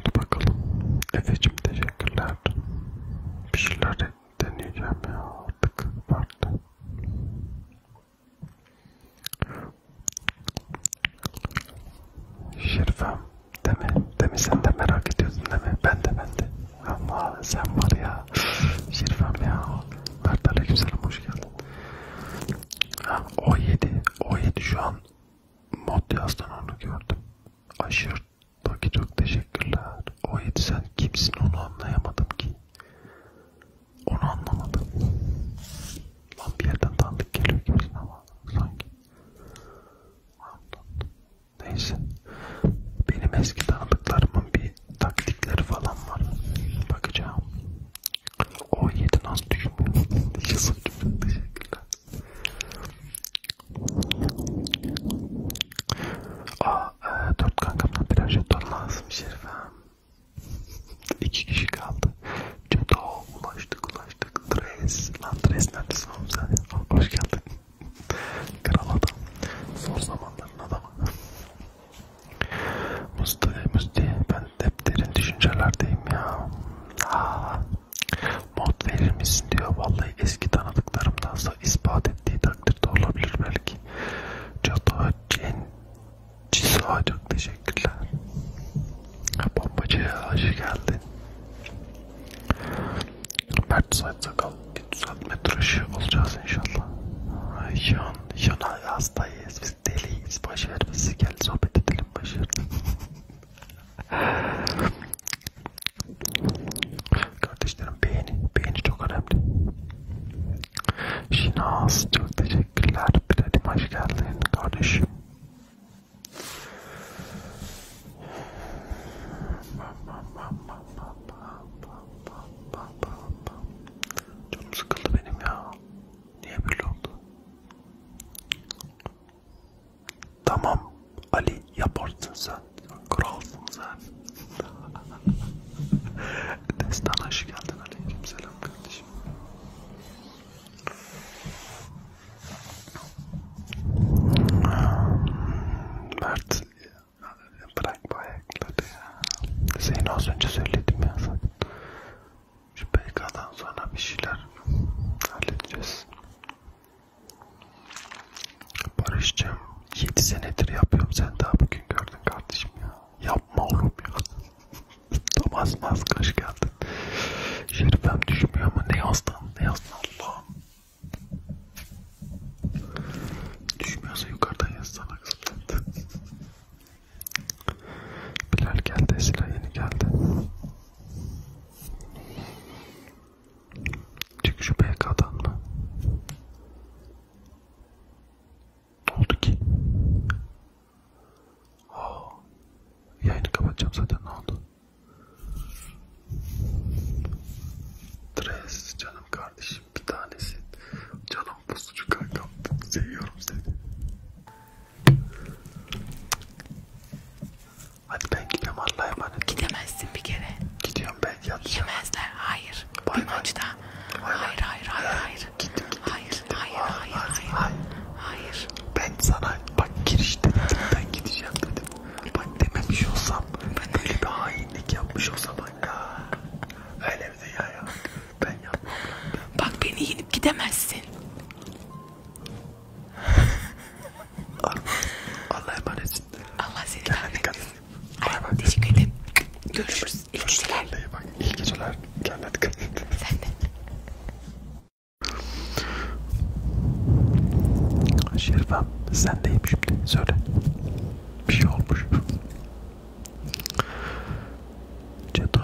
Dur bakalım. Efe'cim teşekkürler. Bir şeyler deneyeceğim ya artık. Pardon. Şerifem Değil mi? Demin sen de merak ediyordun değil mi? Ben de ben de. Allah sen var ya. Şerifem ya. Mert Aleykümselam hoş geldin. Ha, O7. O7 şu an mod yazdan onu gördüm. Aşırt'taki çok teşekkürler. O7 sen kimsin onu anlayamadım ki. Onu anlamadım. Lan bir yerden tanıdık geliyor gibisin ama sanki. Anladım. Neyse. Benim eski tanıdıklarımın bir taktikleri falan var. Bakacağım. O yedi nasıl düşünmüyor? Yazık Teşekkürler. Aa, e, dört kankamdan birer jeton lazım Şerifem. İki kişi kaldı. Ceta ulaştık ulaştık yaptık. Travis, lan Travis neredesin oğlum sen? Hoş geldin. Kral adam. Zor zamanların adamı. Musti, Musti ben hep derin düşüncelerdeyim ya. Aa, ah. mod verir misin diyor. Vallahi eski tanıdıklarımdansa ispat ettiği takdirde olabilir belki. Cato Cisa çok teşekkürler. Bombacı hoş geldin. Mert Said Sakal düzeltme tıraşı olacağız inşallah. Yan, yana hastayız, biz deliyiz, baş vermesi gel sohbet edelim baş Kardeşlerim beğeni, beğeni çok önemli. Şinaz çok teşekkürler. Bilal'im hoş geldin kardeşim. Canım sıkıldı benim ya. Niye böyle oldu? Tamam Ali yaparsın sen. Kralsın sen. Destan hoş geldin Aleyküm selam kardeşim. Mert bırak bu ayakları ya. Seni az önce söyledim ya zaten. Şu PK'dan sonra bir şeyler halledeceğiz. Barış'cığım 7 senedir yapıyorum sen daha bugün gördün kardeşim ya. Yapma oğlum ya. Thomas Mask hoş geldin. Şerifem düşmüyor ama ne yazdın ne yazdın Allah'ım. Düşmüyorsa yukarıdan yazsana kızım. Bilal geldi, Esra yeni geldi. Çık şu BK'dan mı? Ne oldu ki? Aa, yayını kapatacağım zaten ne oldu? Tres canım kardeşim bir tanesi. Canım pusucu kankam. Seviyorum seni. Hadi ben gidiyorum Allah'a emanet. Gidemezsin bir kere. Gidiyorum ben yatacağım. Yemezler hayır. Bay bir bay. maçta. Bay hayır, bay. hayır hayır hayır. Ee, gittim, gittim, hayır. Gittim. Hayır hayır hayır hayır. Hayır. Ben sana bak girişte dedim ben gideceğim dedim bak dememiş olsam, böyle bir hainlik yapmış olsam bak ya. Öyle bir dünya ya. Ben yapmam. Bak beni yenip gidemezsin. Allah emanetsin. Allah seni rahmet eylesin. Ay, teşekkür ederim. Görüşürüz. İyi geceler. İyi geceler. Kendine dikkat et. Sen de. Şerifem sendeyim şimdi söyle bir şey olmuş Ceto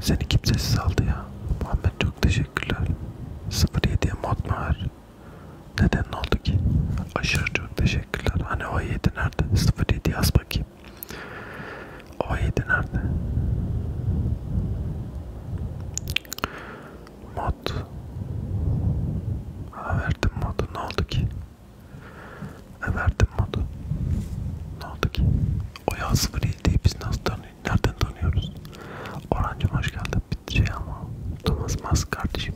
seni kimsesiz aldı ya Muhammed çok teşekkürler 07'ye mod mu var neden ne oldu ki aşırı çok teşekkürler hani o 7 nerede 07 yaz bakayım o 7 nerede Mod. Aa, verdim modu. Ne oldu ki? E, verdim modu. Ne oldu ki? O ya sıfır değil. Biz nasıl tanıyoruz? Nereden tanıyoruz? Orancım hoş geldin. Bir şey ama. Thomas Mas kardeşim.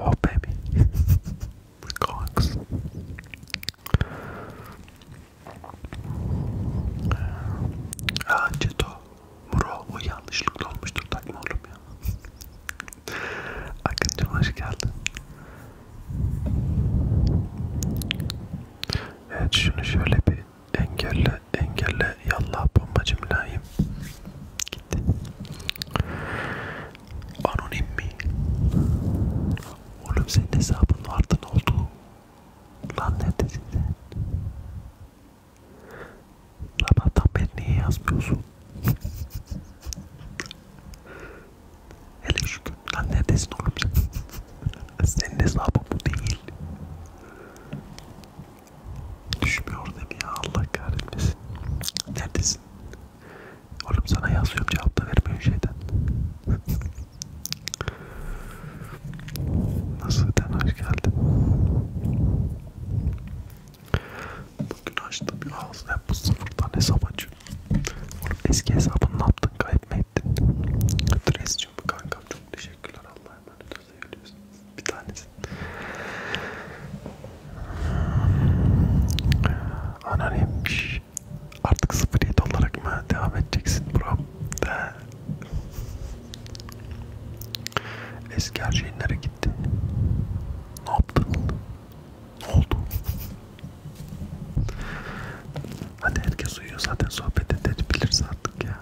Oh baby. Kanks. Aa Ceto. Muro o yanlışlıkla olmuştur takma oğlum ya. Akıncım hoş geldin. Evet şunu şöyle bir engelle engelle yallah bombacım layım. Gitti. Anonim mi? Oğlum senin hesabın vardı ne oldu? Lan nerede size? Sabahtan beri niye yazmıyorsun? Hele şükür lan neredesin oğlum sen? Senin hesabın bu değil. Düşmüyor değil ya Allah kahretmesin. Neredesin? Oğlum sana yazıyorum cevap da vermiyor şeyden. Nasılsın? Hoş geldin. Bugün açtım bir ağzı hep bu sıfırdan hesap açıyorum. Oğlum eski hesabını ne yaptın? Kayıp mı ettin? Dresciğim kankam çok teşekkürler. Allah'a emanet ol. Seviyorsun. Bir tanesin. Anonim. Artık 07 olarak mı devam edeceksin buram? De. Eski her şeyin nereye gitti? Ne yaptın? Ne oldu? Hadi herkes uyuyor zaten sohbet edebiliriz artık ya.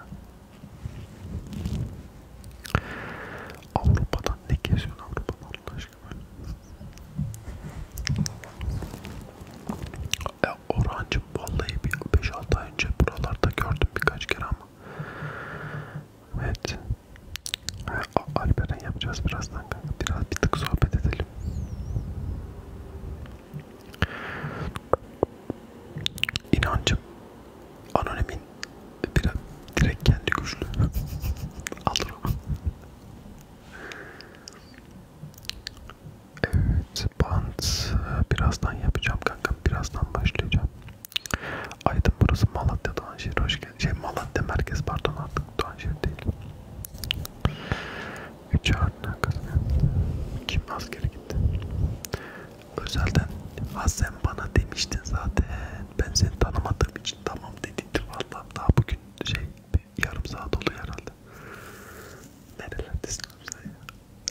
Avrupa'dan ne geziyorsun Avrupa'dan Allah aşkına? E, ya Orhancım vallahi bir 5-6 ay önce buralarda gördüm birkaç kere ama. Evet. Alperen yapacağız birazdan kanka. Biraz bir tık sohbet edelim. İnancım anonimin biraz direkt kendi güçlü. Alırım. Evet bant birazdan yapacağım kanka birazdan başlayacağım. Aydın burası Malatya Doğanşehir hoş geldin. Şey Malatya merkez pardon artık Doğanşehir değil. 3 ardına kazanıyor. Kim askere gitti? Özelden ha sen bana demiştin zaten. Ben seni tanımadığım için tamam dediydi vallahi daha bugün şey bir yarım saat oluyor herhalde. Nerelerdesin sen ya?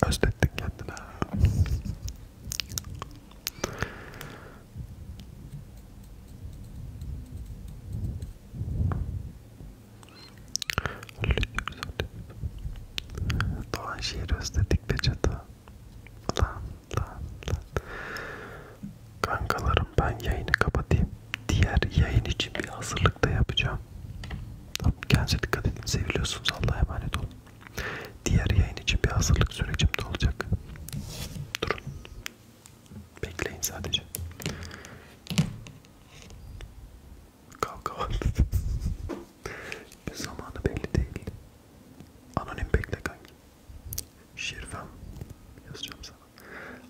Özlettin kendine. Doğan şiiri özledik be çatı. Lan lan lan. Kankalarım ben yayını kapatayım. Diğer yayın için bir hazırlık da yapacağım ya. Tamam, kendinize dikkat edin. Seviliyorsunuz. Allah'a emanet olun. Diğer yayın için bir hazırlık sürecim de olacak. Durun. Bekleyin sadece. Kavga var. Zamanı belli değil. Anonim bekle kanki. Şirfem yazacağım sana.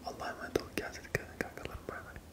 Allah'a emanet olun. Kendinize dikkat edin kankalarım. Bay bay.